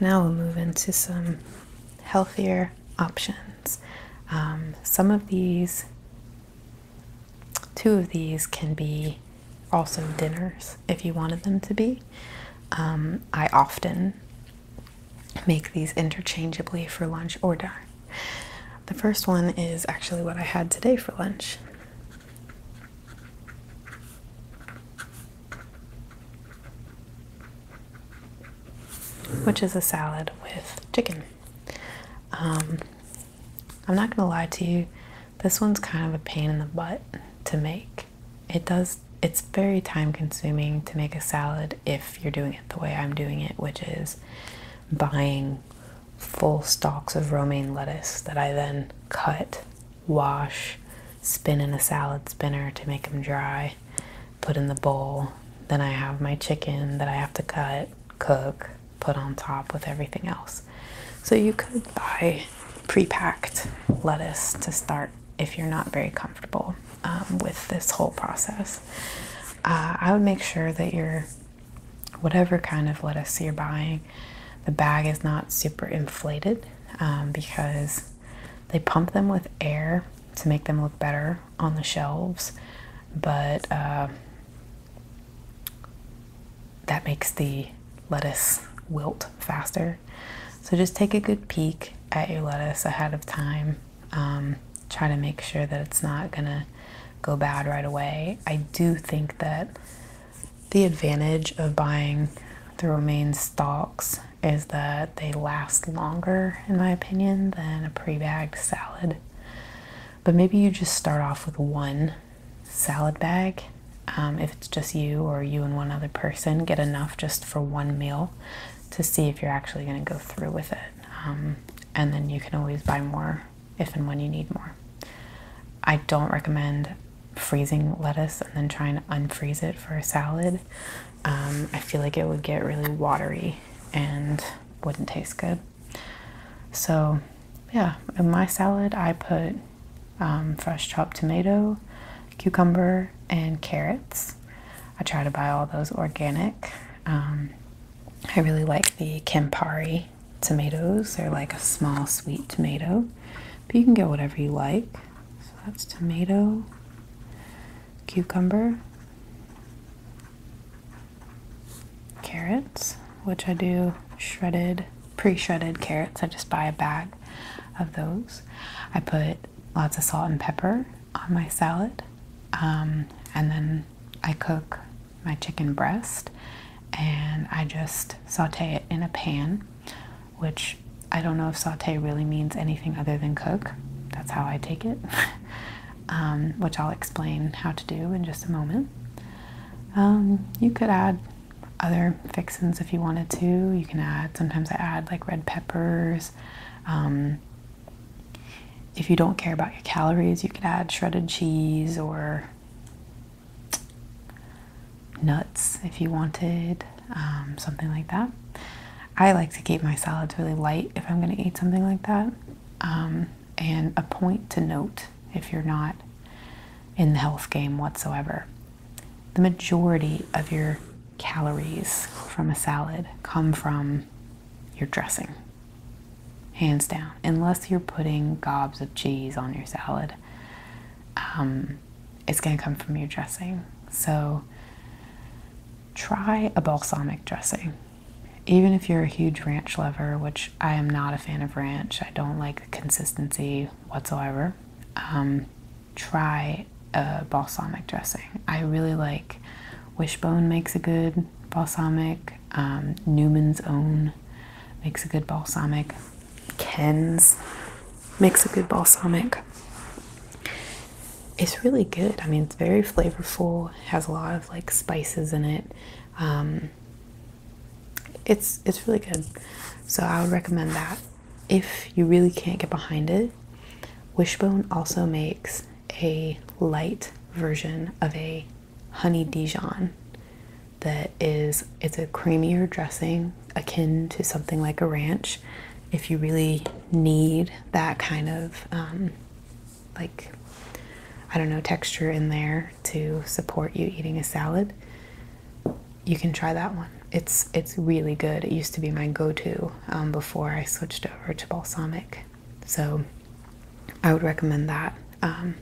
Now we'll move into some healthier options. Um, some of these, two of these can be also dinners if you wanted them to be. Um, I often make these interchangeably for lunch or dinner. The first one is actually what I had today for lunch which is a salad with chicken. Um, I'm not gonna lie to you, this one's kind of a pain in the butt to make. It does, it's very time consuming to make a salad if you're doing it the way I'm doing it, which is buying full stalks of romaine lettuce that I then cut, wash, spin in a salad spinner to make them dry, put in the bowl. Then I have my chicken that I have to cut, cook, put on top with everything else. So you could buy pre-packed lettuce to start if you're not very comfortable um, with this whole process. Uh, I would make sure that you're whatever kind of lettuce you're buying, the bag is not super inflated um, because they pump them with air to make them look better on the shelves, but uh, that makes the lettuce wilt faster. So just take a good peek at your lettuce ahead of time. Um, try to make sure that it's not gonna go bad right away. I do think that the advantage of buying the romaine stalks is that they last longer, in my opinion, than a pre bagged salad. But maybe you just start off with one salad bag. Um, if it's just you or you and one other person, get enough just for one meal to see if you're actually going to go through with it. Um, and then you can always buy more if and when you need more. I don't recommend freezing lettuce and then trying to unfreeze it for a salad. Um, I feel like it would get really watery and wouldn't taste good. So, yeah, in my salad, I put um, fresh chopped tomato, cucumber, and carrots. I try to buy all those organic. Um, I really like the Campari tomatoes. They're like a small sweet tomato, but you can get whatever you like. So that's tomato, cucumber, carrots, which I do shredded, pre shredded carrots. I just buy a bag of those. I put lots of salt and pepper on my salad, um, and then I cook my chicken breast and I just saute it in a pan, which I don't know if saute really means anything other than cook. That's how I take it, [LAUGHS] um, which I'll explain how to do in just a moment. Um, you could add other fixins if you wanted to. You can add, sometimes I add like red peppers. Um, if you don't care about your calories, you could add shredded cheese or nuts if you wanted, um, something like that. I like to keep my salads really light if I'm going to eat something like that. Um, and a point to note if you're not in the health game whatsoever. The majority of your calories from a salad come from your dressing, hands down, unless you're putting gobs of cheese on your salad. Um, it's going to come from your dressing. So try a balsamic dressing. Even if you're a huge ranch lover, which I am not a fan of ranch, I don't like the consistency whatsoever, um, try a balsamic dressing. I really like Wishbone makes a good balsamic, um, Newman's Own makes a good balsamic. Ken's makes a good balsamic. It's really good. I mean, it's very flavorful. has a lot of like spices in it. Um, it's it's really good. So I would recommend that. If you really can't get behind it, Wishbone also makes a light version of a honey Dijon that is it's a creamier dressing akin to something like a ranch if you really need that kind of um, like I don't know texture in there to support you eating a salad you can try that one it's it's really good it used to be my go-to um, before I switched over to balsamic so I would recommend that um,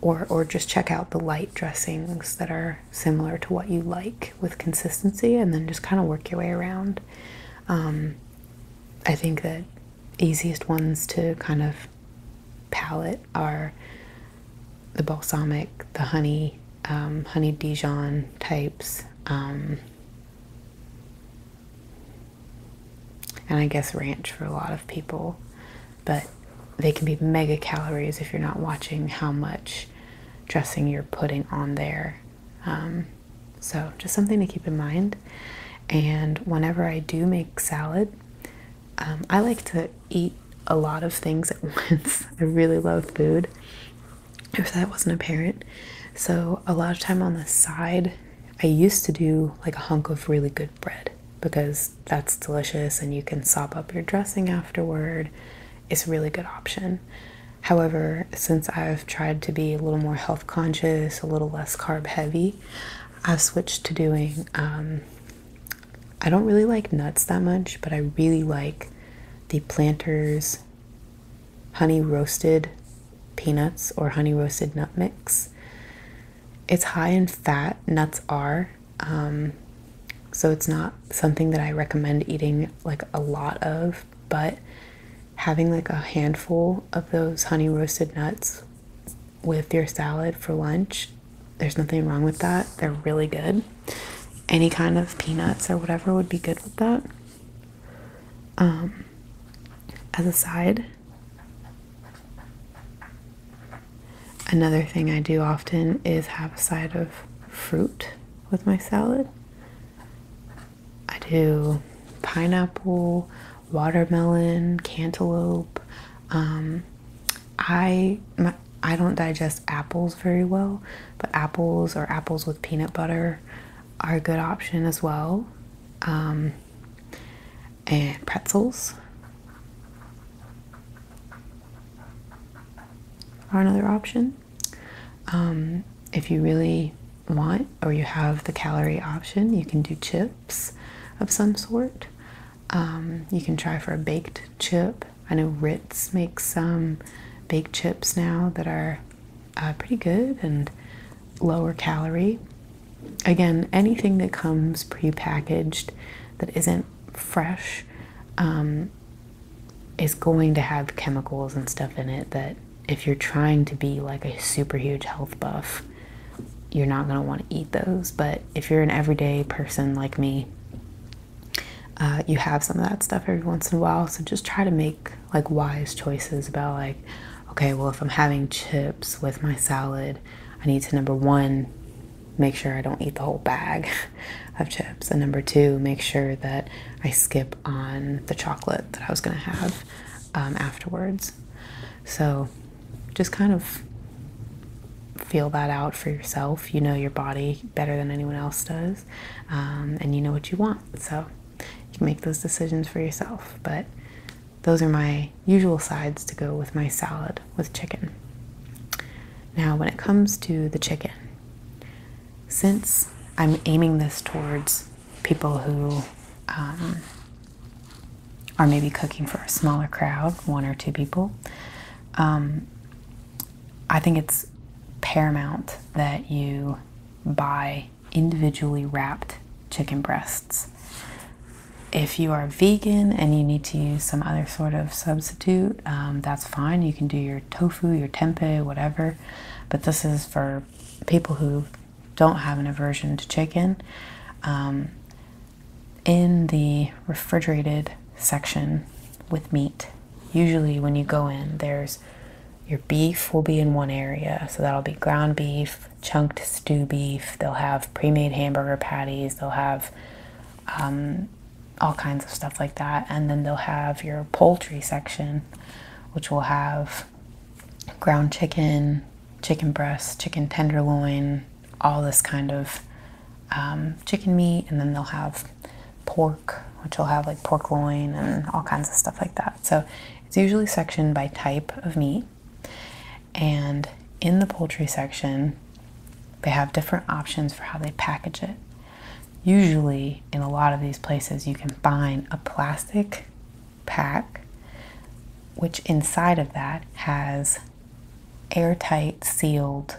or or just check out the light dressings that are similar to what you like with consistency, and then just kind of work your way around. Um, I think that easiest ones to kind of palate are the balsamic, the honey, um, honey Dijon types. and I guess ranch for a lot of people but they can be mega calories if you're not watching how much dressing you're putting on there. Um, so, just something to keep in mind. And whenever I do make salad, um, I like to eat a lot of things at [LAUGHS] once. I really love food, if that wasn't apparent. So, a lot of time on the side, I used to do like a hunk of really good bread because that's delicious and you can sop up your dressing afterward. It's a really good option. However, since I've tried to be a little more health conscious, a little less carb heavy, I've switched to doing, um, I don't really like nuts that much, but I really like the Planters honey roasted peanuts or honey roasted nut mix. It's high in fat, nuts are. Um, so it's not something that I recommend eating like a lot of, but having like a handful of those honey roasted nuts with your salad for lunch, there's nothing wrong with that. They're really good. Any kind of peanuts or whatever would be good with that. Um, as a side, Another thing I do often is have a side of fruit with my salad. I do pineapple, watermelon, cantaloupe. Um, I I don't digest apples very well, but apples or apples with peanut butter are a good option as well. Um, and pretzels or another option um, if you really want or you have the calorie option you can do chips of some sort um, you can try for a baked chip i know ritz makes some baked chips now that are uh, pretty good and lower calorie again anything that comes pre-packaged that isn't fresh um, is going to have chemicals and stuff in it that if you're trying to be like a super huge health buff, you're not going to want to eat those. But if you're an everyday person like me, uh, you have some of that stuff every once in a while. So just try to make like wise choices about like, okay, well, if I'm having chips with my salad, I need to number one make sure I don't eat the whole bag [LAUGHS] of chips. And number two, make sure that I skip on the chocolate that I was going to have um, afterwards. So just kind of feel that out for yourself. You know your body better than anyone else does, um, and you know what you want. So you can make those decisions for yourself. But those are my usual sides to go with my salad with chicken. Now, when it comes to the chicken, since I'm aiming this towards people who um, are maybe cooking for a smaller crowd, one or two people, um, I think it's paramount that you buy individually wrapped chicken breasts. If you are vegan and you need to use some other sort of substitute, um, that's fine. You can do your tofu, your tempeh, whatever. But this is for people who don't have an aversion to chicken. Um, in the refrigerated section with meat, usually when you go in, there's your beef will be in one area. So that'll be ground beef, chunked stew beef, they'll have pre made hamburger patties, they'll have um, all kinds of stuff like that. And then they'll have your poultry section, which will have ground chicken, chicken breast, chicken tenderloin, all this kind of um, chicken meat. And then they'll have pork, which will have like pork loin and all kinds of stuff like that. So it's usually sectioned by type of meat. And in the poultry section, they have different options for how they package it. Usually, in a lot of these places, you can find a plastic pack, which inside of that has airtight sealed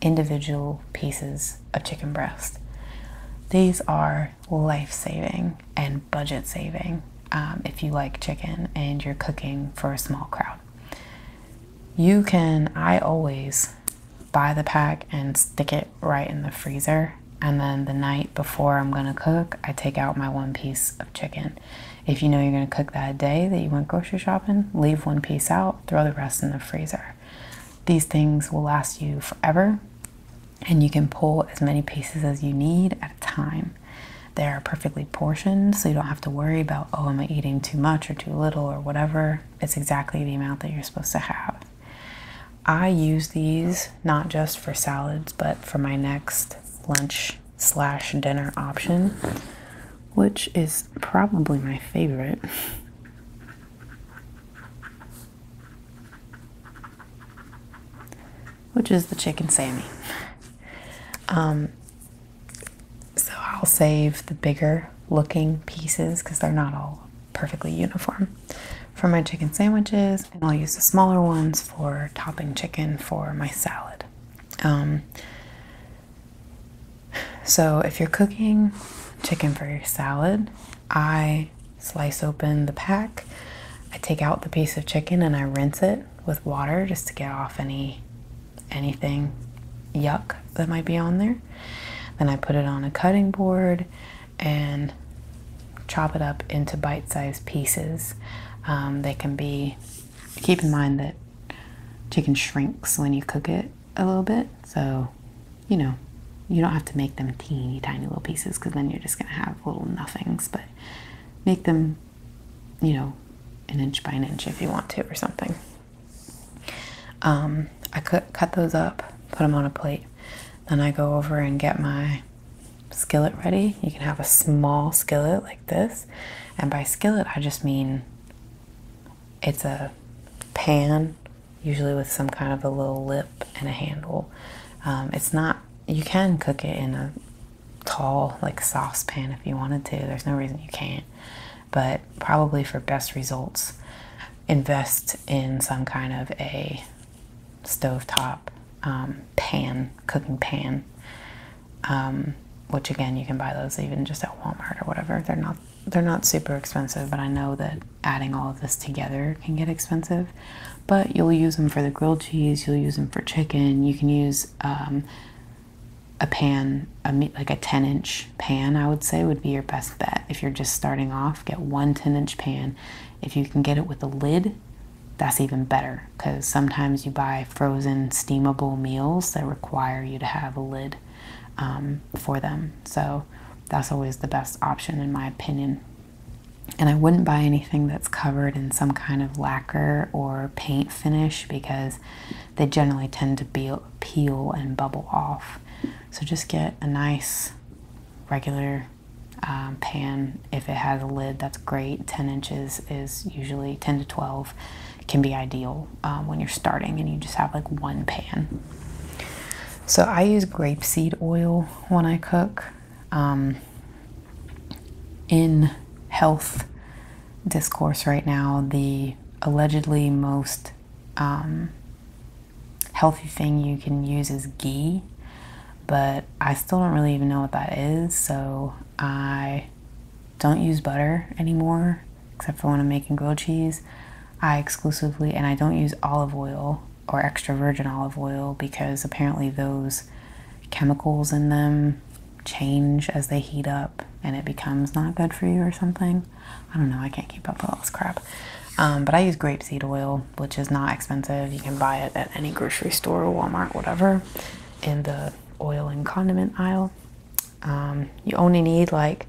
individual pieces of chicken breast. These are life saving and budget saving um, if you like chicken and you're cooking for a small crowd. You can, I always buy the pack and stick it right in the freezer. And then the night before I'm gonna cook, I take out my one piece of chicken. If you know you're gonna cook that day that you went grocery shopping, leave one piece out, throw the rest in the freezer. These things will last you forever and you can pull as many pieces as you need at a time. They're perfectly portioned, so you don't have to worry about, oh, am I eating too much or too little or whatever. It's exactly the amount that you're supposed to have. I use these not just for salads, but for my next lunch slash dinner option, which is probably my favorite. Which is the chicken Sammy. So I'll save the bigger looking pieces because they're not all perfectly uniform for my chicken sandwiches, and I'll use the smaller ones for topping chicken for my salad. Um, so if you're cooking chicken for your salad, I slice open the pack. I take out the piece of chicken and I rinse it with water just to get off any anything yuck that might be on there. Then I put it on a cutting board and chop it up into bite sized pieces. Um, they can be, keep in mind that chicken shrinks when you cook it a little bit. So, you know, you don't have to make them teeny tiny little pieces because then you're just going to have little nothings, but make them you know, an inch by an inch if you want to or something. Um, I cut, those up, put them on a plate. Then I go over and get my skillet ready. You can have a small skillet like this. And by skillet, I just mean it's a pan, usually with some kind of a little lip and a handle. Um, it's not, you can cook it in a tall, like saucepan if you wanted to. There's no reason you can't. But probably for best results, invest in some kind of a stovetop um, pan, cooking pan. Um, which again, you can buy those even just at Walmart or whatever. They're not they're not super expensive, but I know that adding all of this together can get expensive. But you'll use them for the grilled cheese. You'll use them for chicken. You can use um, a pan, a, like a 10 inch pan, I would say would be your best bet. If you're just starting off, get one 10 inch pan. If you can get it with a lid, that's even better because sometimes you buy frozen steamable meals that require you to have a lid um, for them. So that's always the best option, in my opinion. And I wouldn't buy anything that's covered in some kind of lacquer or paint finish because they generally tend to be, peel and bubble off. So just get a nice regular um, pan. If it has a lid, that's great. 10 inches is usually 10 to 12 can be ideal um, when you're starting and you just have like one pan. So I use grapeseed oil when I cook. Um, in health discourse right now, the allegedly most um, healthy thing you can use is ghee, but I still don't really even know what that is, so I don't use butter anymore except for when I'm making grilled cheese. I exclusively, and I don't use olive oil or extra virgin olive oil because apparently those chemicals in them change as they heat up and it becomes not good for you or something. I don't know, I can't keep up with all this crap. Um, but I use grapeseed oil, which is not expensive. You can buy it at any grocery store, Walmart, whatever, in the oil and condiment aisle. Um, you only need like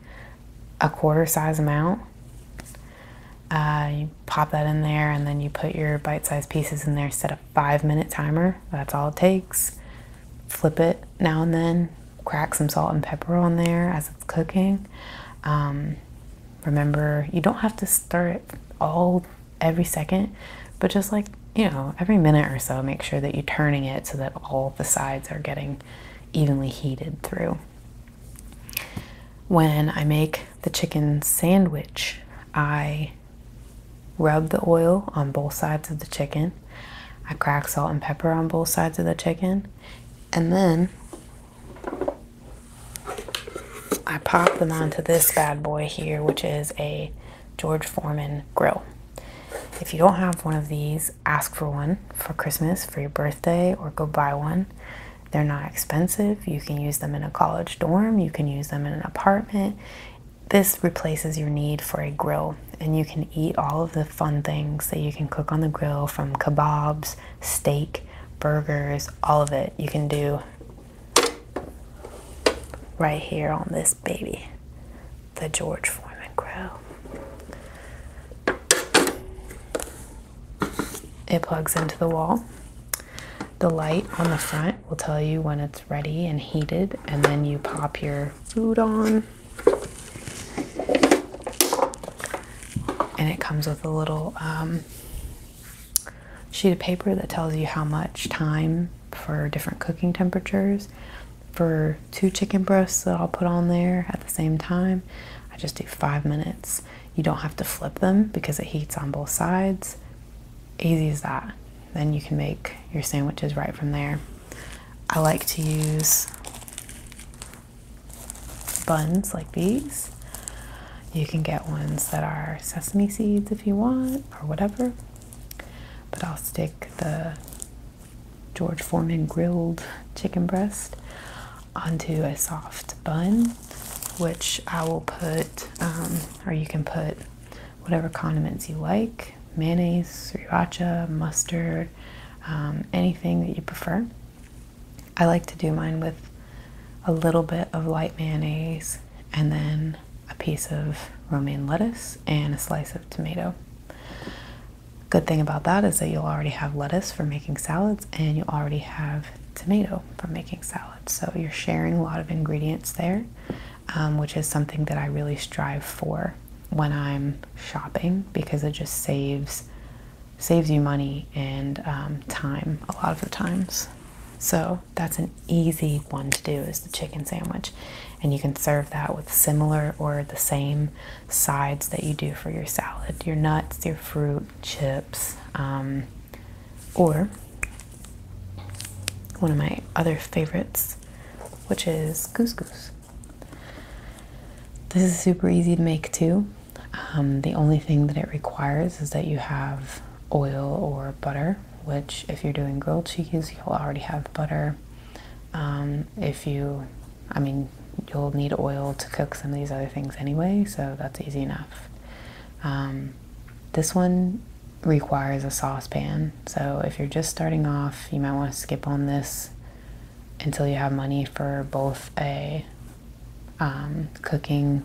a quarter size amount. Uh, you pop that in there and then you put your bite sized pieces in there, set up five minute timer. That's all it takes. Flip it now and then. Crack some salt and pepper on there as it's cooking. Um, remember, you don't have to stir it all every second, but just like you know, every minute or so, make sure that you're turning it so that all the sides are getting evenly heated through. When I make the chicken sandwich, I Rub the oil on both sides of the chicken. I crack salt and pepper on both sides of the chicken. And then I pop them onto this bad boy here, which is a George Foreman grill. If you don't have one of these, ask for one for Christmas, for your birthday, or go buy one. They're not expensive. You can use them in a college dorm, you can use them in an apartment, this replaces your need for a grill, and you can eat all of the fun things that you can cook on the grill from kebabs, steak, burgers, all of it. You can do right here on this baby, the George Foreman grill. It plugs into the wall. The light on the front will tell you when it's ready and heated, and then you pop your food on. And it comes with a little um, sheet of paper that tells you how much time for different cooking temperatures. For two chicken breasts that I'll put on there at the same time, I just do five minutes. You don't have to flip them because it heats on both sides. Easy as that. Then you can make your sandwiches right from there. I like to use buns like these. You can get ones that are sesame seeds if you want or whatever. But I'll stick the George Foreman grilled chicken breast onto a soft bun, which I will put, um, or you can put whatever condiments you like mayonnaise, sriracha, mustard, um, anything that you prefer. I like to do mine with a little bit of light mayonnaise and then a piece of romaine lettuce and a slice of tomato. Good thing about that is that you'll already have lettuce for making salads and you already have tomato for making salads. So you're sharing a lot of ingredients there, um, which is something that I really strive for when I'm shopping because it just saves saves you money and um, time a lot of the times. So that's an easy one to do is the chicken sandwich, and you can serve that with similar or the same sides that you do for your salad, your nuts, your fruit, chips, um, or one of my other favorites which is couscous. This is super easy to make too. Um, the only thing that it requires is that you have oil or butter, which, if you're doing grilled cheese, you'll already have butter. Um, if you, I mean, you'll need oil to cook some of these other things anyway, so that's easy enough. Um, this one requires a saucepan. So if you're just starting off, you might want to skip on this until you have money for both a um, cooking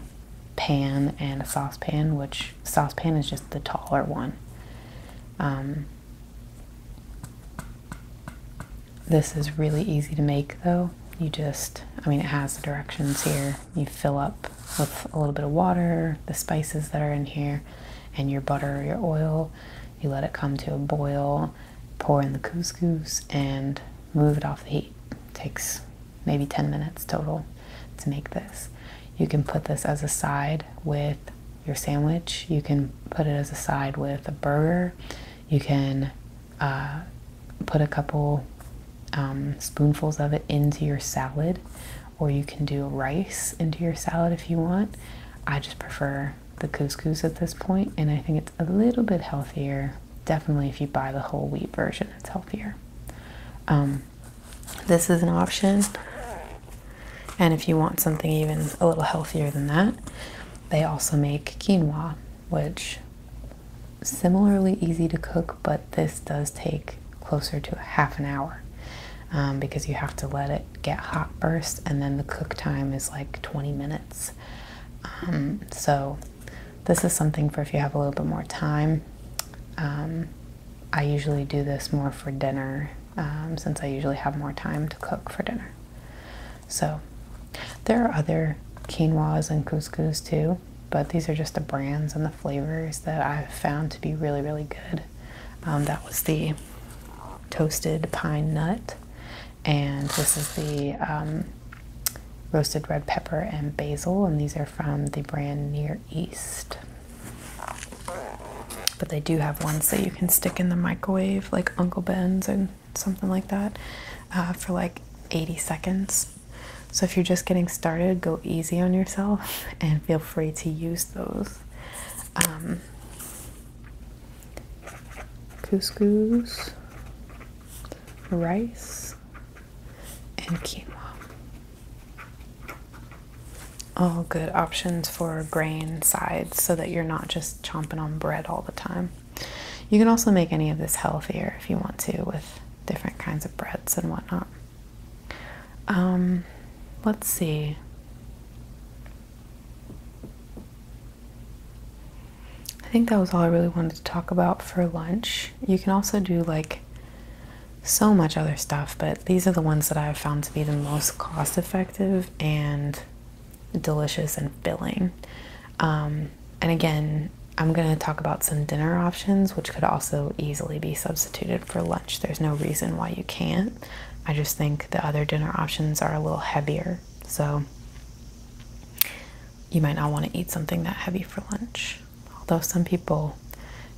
pan and a saucepan, which saucepan is just the taller one. Um, this is really easy to make though. You just, I mean, it has the directions here. You fill up with a little bit of water, the spices that are in here, and your butter or your oil. You let it come to a boil, pour in the couscous, and move it off the heat. takes maybe 10 minutes total to make this. You can put this as a side with your sandwich. You can put it as a side with a burger. You can uh, put a couple um, spoonfuls of it into your salad or you can do rice into your salad if you want. I just prefer the couscous at this point, and I think it's a little bit healthier. Definitely, if you buy the whole wheat version, it's healthier. Um, this is an option, and if you want something even a little healthier than that, they also make quinoa, which similarly easy to cook, but this does take closer to half an hour um, because you have to let it get hot first, and then the cook time is like 20 minutes. Um, so, this is something for if you have a little bit more time. Um, I usually do this more for dinner um, since I usually have more time to cook for dinner. So, there are other quinoas and couscous too, but these are just the brands and the flavors that I've found to be really, really good. Um, that was the toasted pine nut, and this is the um, roasted red pepper and basil, and these are from the brand Near East. But they do have ones that you can stick in the microwave, like Uncle Ben's and something like that, uh, for like 80 seconds. So if you're just getting started, go easy on yourself [LAUGHS] and feel free to use those um, couscous, rice, and quinoa. All good options for grain sides so that you're not just chomping on bread all the time. You can also make any of this healthier if you want to with different kinds of breads and whatnot. Um, let's see. I think that was all I really wanted to talk about for lunch. You can also do like so much other stuff, but these are the ones that I have found to be the most cost effective and delicious and filling. Um, and again, I'm going to talk about some dinner options, which could also easily be substituted for lunch. There's no reason why you can't. I just think the other dinner options are a little heavier, so you might not want to eat something that heavy for lunch. Although some people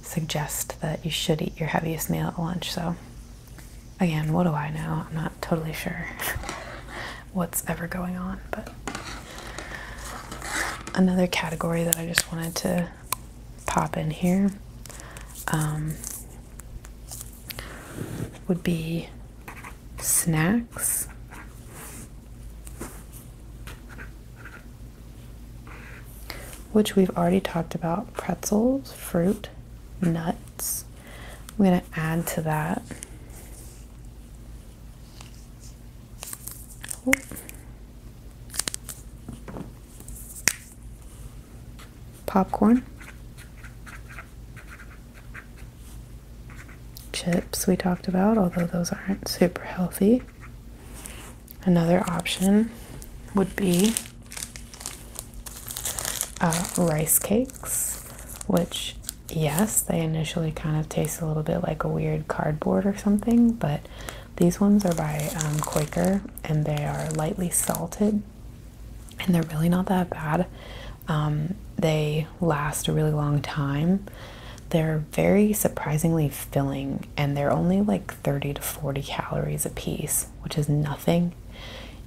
suggest that you should eat your heaviest meal at lunch, so again, what do I know? I'm not totally sure [LAUGHS] what's ever going on, but another category that I just wanted to pop in here um, would be snacks. Which we've already talked about pretzels, fruit, nuts. I'm going to add to that popcorn, chips we talked about, although those aren't super healthy. Another option would be uh, rice cakes, which, yes, they initially kind of taste a little bit like a weird cardboard or something, but these ones are by um, Quaker and they are lightly salted and they're really not that bad. Um, they last a really long time. They're very surprisingly filling and they're only like 30 to 40 calories a piece, which is nothing.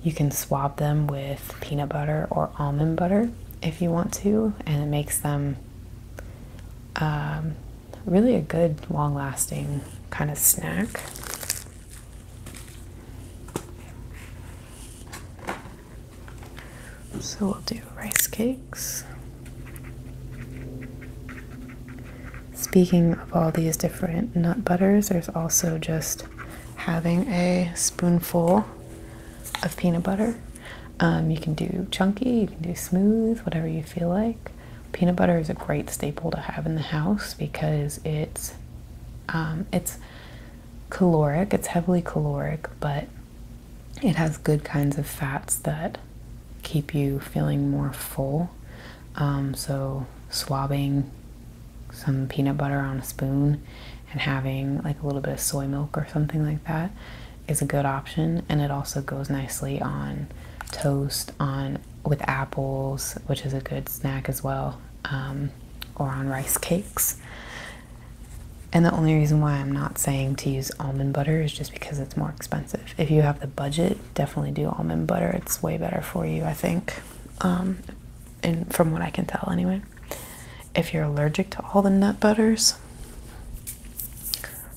You can swab them with peanut butter or almond butter if you want to, and it makes them um, really a good, long lasting kind of snack. So we'll do rice cakes. Speaking of all these different nut butters, there's also just having a spoonful of peanut butter. Um, you can do chunky, you can do smooth, whatever you feel like. Peanut butter is a great staple to have in the house because it's um, it's caloric, it's heavily caloric, but it has good kinds of fats that keep you feeling more full. Um, so swabbing some peanut butter on a spoon and having like a little bit of soy milk or something like that is a good option and it also goes nicely on toast on with apples, which is a good snack as well, um, or on rice cakes. And the only reason why I'm not saying to use almond butter is just because it's more expensive. If you have the budget, definitely do almond butter. It's way better for you, I think. Um, and from what I can tell, anyway. If you're allergic to all the nut butters,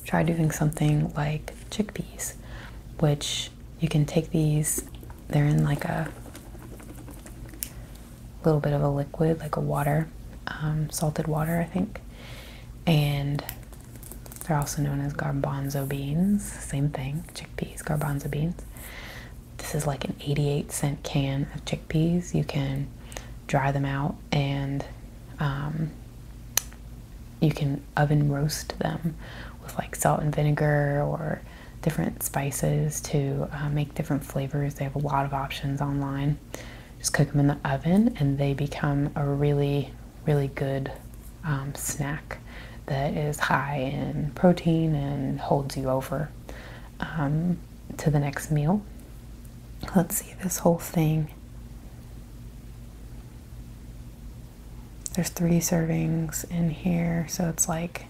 try doing something like chickpeas, which you can take these, they're in like a little bit of a liquid, like a water, um, salted water, I think. And they're also known as garbanzo beans. Same thing, chickpeas, garbanzo beans. This is like an 88 cent can of chickpeas. You can dry them out and um, you can oven roast them with like salt and vinegar or different spices to uh, make different flavors. They have a lot of options online. Just cook them in the oven and they become a really, really good um, snack that is high in protein and holds you over um, to the next meal. Let's see this whole thing. There's three servings in here, so it's like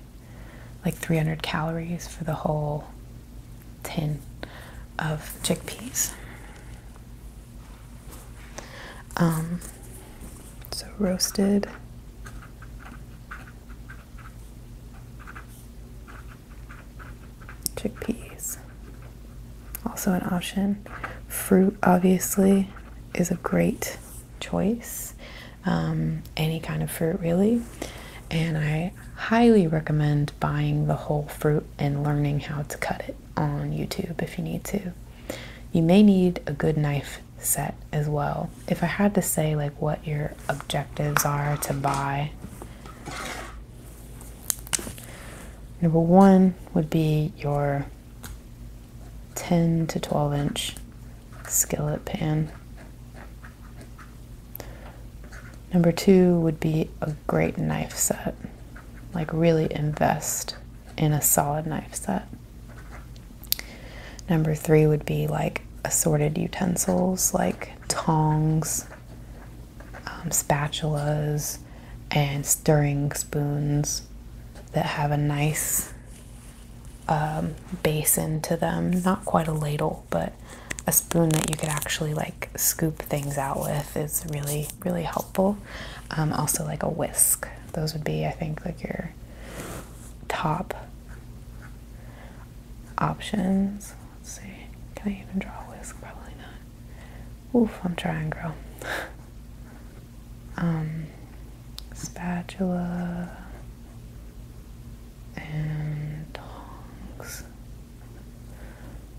like 300 calories for the whole tin of chickpeas. Um, so roasted. Chickpeas. Also an option. Fruit obviously is a great choice, um, any kind of fruit really. And I highly recommend buying the whole fruit and learning how to cut it on YouTube if you need to. You may need a good knife set as well. If I had to say like what your objectives are to buy, number one would be your 10 to 12 inch skillet pan. Number two would be a great knife set. Like, really invest in a solid knife set. Number three would be like assorted utensils like tongs, um, spatulas, and stirring spoons that have a nice um, basin to them, not quite a ladle, but a spoon that you could actually like scoop things out with is really, really helpful. Um, also, like a whisk, those would be, I think, like your top options. Let's see, can I even draw a whisk? Probably not. Oof, I'm trying, girl. [LAUGHS] um, spatula and tongs.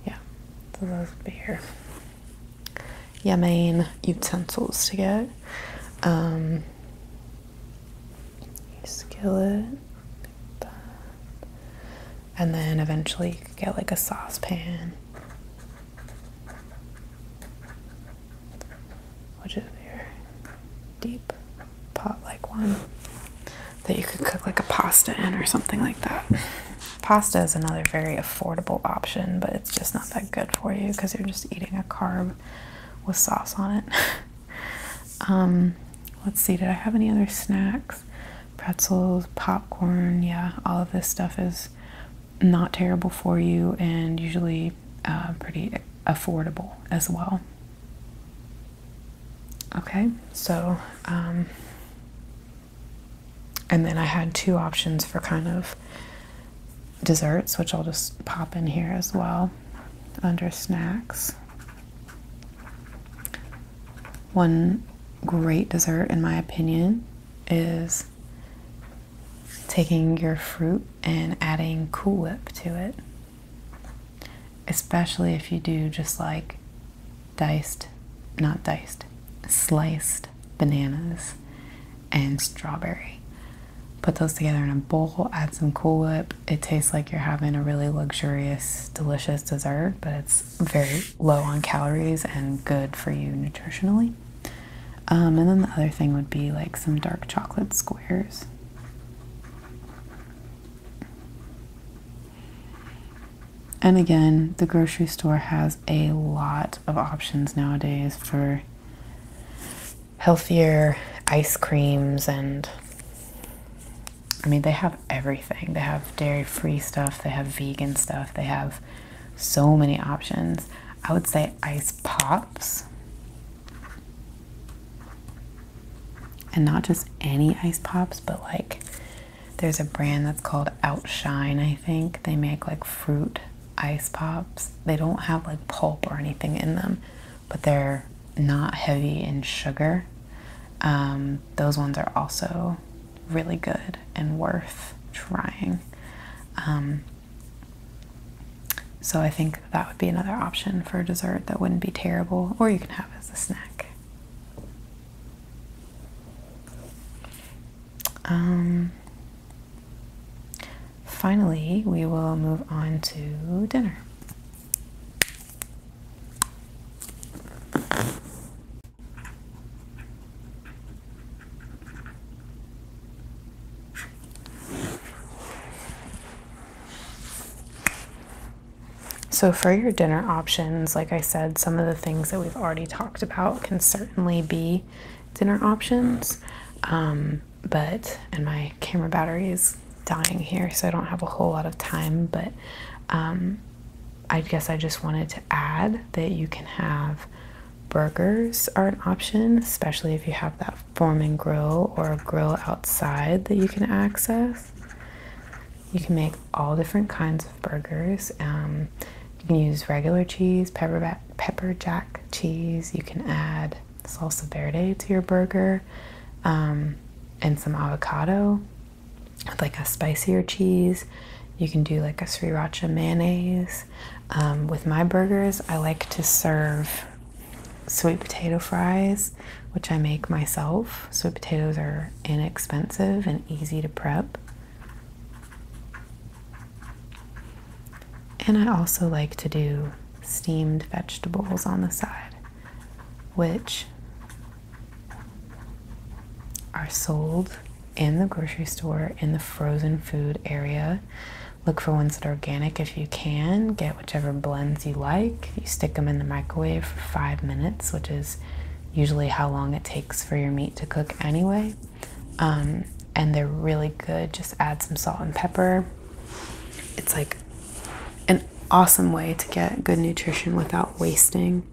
Yeah, so those would be your, your main utensils to get. Um, skillet, and then eventually you get like a saucepan which is your deep pot like one that you could cook like a pasta in or something like that. Pasta is another very affordable option, but it's just not that good for you because you're just eating a carb with sauce on it. [LAUGHS] um, let's see, did I have any other snacks? Pretzels, popcorn, yeah, all of this stuff is not terrible for you and usually uh, pretty affordable as well. Okay, so, um, and then I had two options for kind of desserts, which I'll just pop in here as well under snacks. One great dessert, in my opinion, is taking your fruit and adding Cool Whip to it. Especially if you do just like diced, not diced, sliced bananas and strawberry. Put those together in a bowl, add some Cool Whip. It tastes like you're having a really luxurious, delicious dessert, but it's very low on calories and good for you nutritionally. Um, and then the other thing would be like some dark chocolate squares. And again, the grocery store has a lot of options nowadays for healthier ice creams and I mean, they have everything. They have dairy free stuff, they have vegan stuff, they have so many options. I would say ice Pops. And not just any ice pops, but like there's a brand that's called Outshine, I think. They make like fruit ice pops. They don't have like pulp or anything in them, but they're not heavy in sugar. Um, those ones are also really good and worth trying. Um, so I think that would be another option for a dessert that wouldn't be terrible, or you can have as a snack. Um, finally, we will move on to dinner. So, for your dinner options, like I said, some of the things that we've already talked about can certainly be dinner options. Um, but, and my camera battery is dying here, so I don't have a whole lot of time. But um, I guess I just wanted to add that you can have Burgers are an option, especially if you have that form and grill or a grill outside that you can access. You can make all different kinds of burgers. Um, you can use regular cheese, pepper, jack cheese. You can add salsa verde to your burger um, and some avocado with like a spicier cheese. You can do like a sriracha mayonnaise. Um, with my burgers, I like to serve sweet potato fries, which I make myself. Sweet potatoes are inexpensive and easy to prep. And I also like to do steamed vegetables on the side, which are sold in the grocery store in the frozen food area. Look for ones that are organic if you can. Get whichever blends you like. You stick them in the microwave for five minutes, which is usually how long it takes for your meat to cook anyway. Um, and they're really good. Just add some salt and pepper. It's like an awesome way to get good nutrition without wasting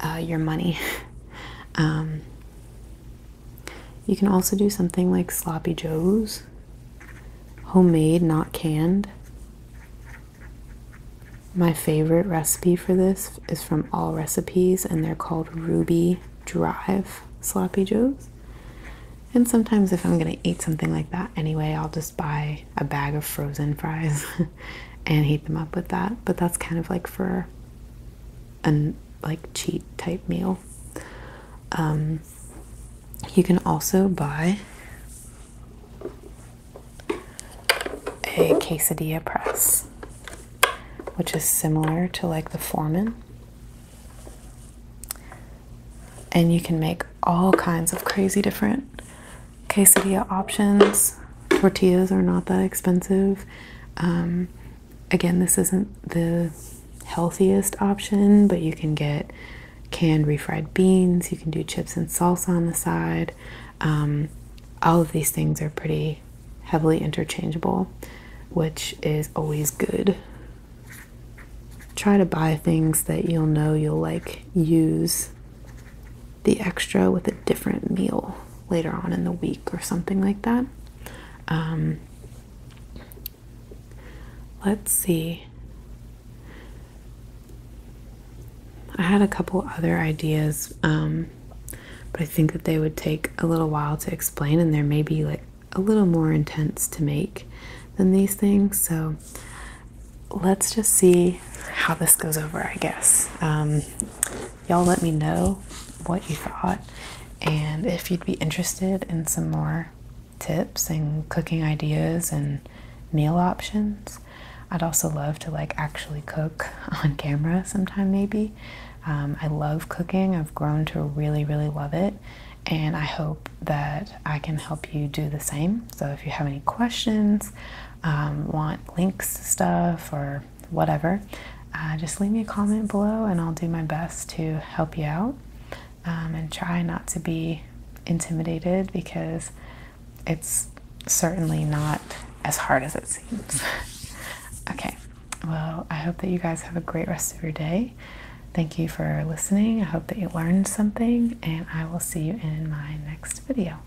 uh, your money. [LAUGHS] Um, you can also do something like sloppy joes, homemade, not canned. My favorite recipe for this is from All Recipes, and they're called Ruby Drive Sloppy Joes. And sometimes, if I'm gonna eat something like that anyway, I'll just buy a bag of frozen fries [LAUGHS] and heat them up with that. But that's kind of like for a like cheat type meal. Um, you can also buy a quesadilla press, which is similar to like the Foreman. And you can make all kinds of crazy different quesadilla options. Tortillas are not that expensive. Um, Again, this isn't the healthiest option, but you can get canned refried beans, you can do chips and salsa on the side. Um, all of these things are pretty heavily interchangeable, which is always good. Try to buy things that you'll know you'll like use the extra with a different meal later on in the week or something like that. Um, Let's see. I had a couple other ideas, um, but I think that they would take a little while to explain, and they're maybe like a little more intense to make than these things. So let's just see how this goes over, I guess. Um, y'all let me know what you thought and if you'd be interested in some more tips and cooking ideas and meal options. I'd also love to like actually cook [LAUGHS] on camera sometime maybe. Um, I love cooking. I've grown to really, really love it. And I hope that I can help you do the same. So if you have any questions, um, want links stuff, or whatever, uh, just leave me a comment below and I'll do my best to help you out um, and try not to be intimidated because it's certainly not as hard as it seems. [LAUGHS] okay, well, I hope that you guys have a great rest of your day. Thank you for listening. I hope that you learned something, and I will see you in my next video.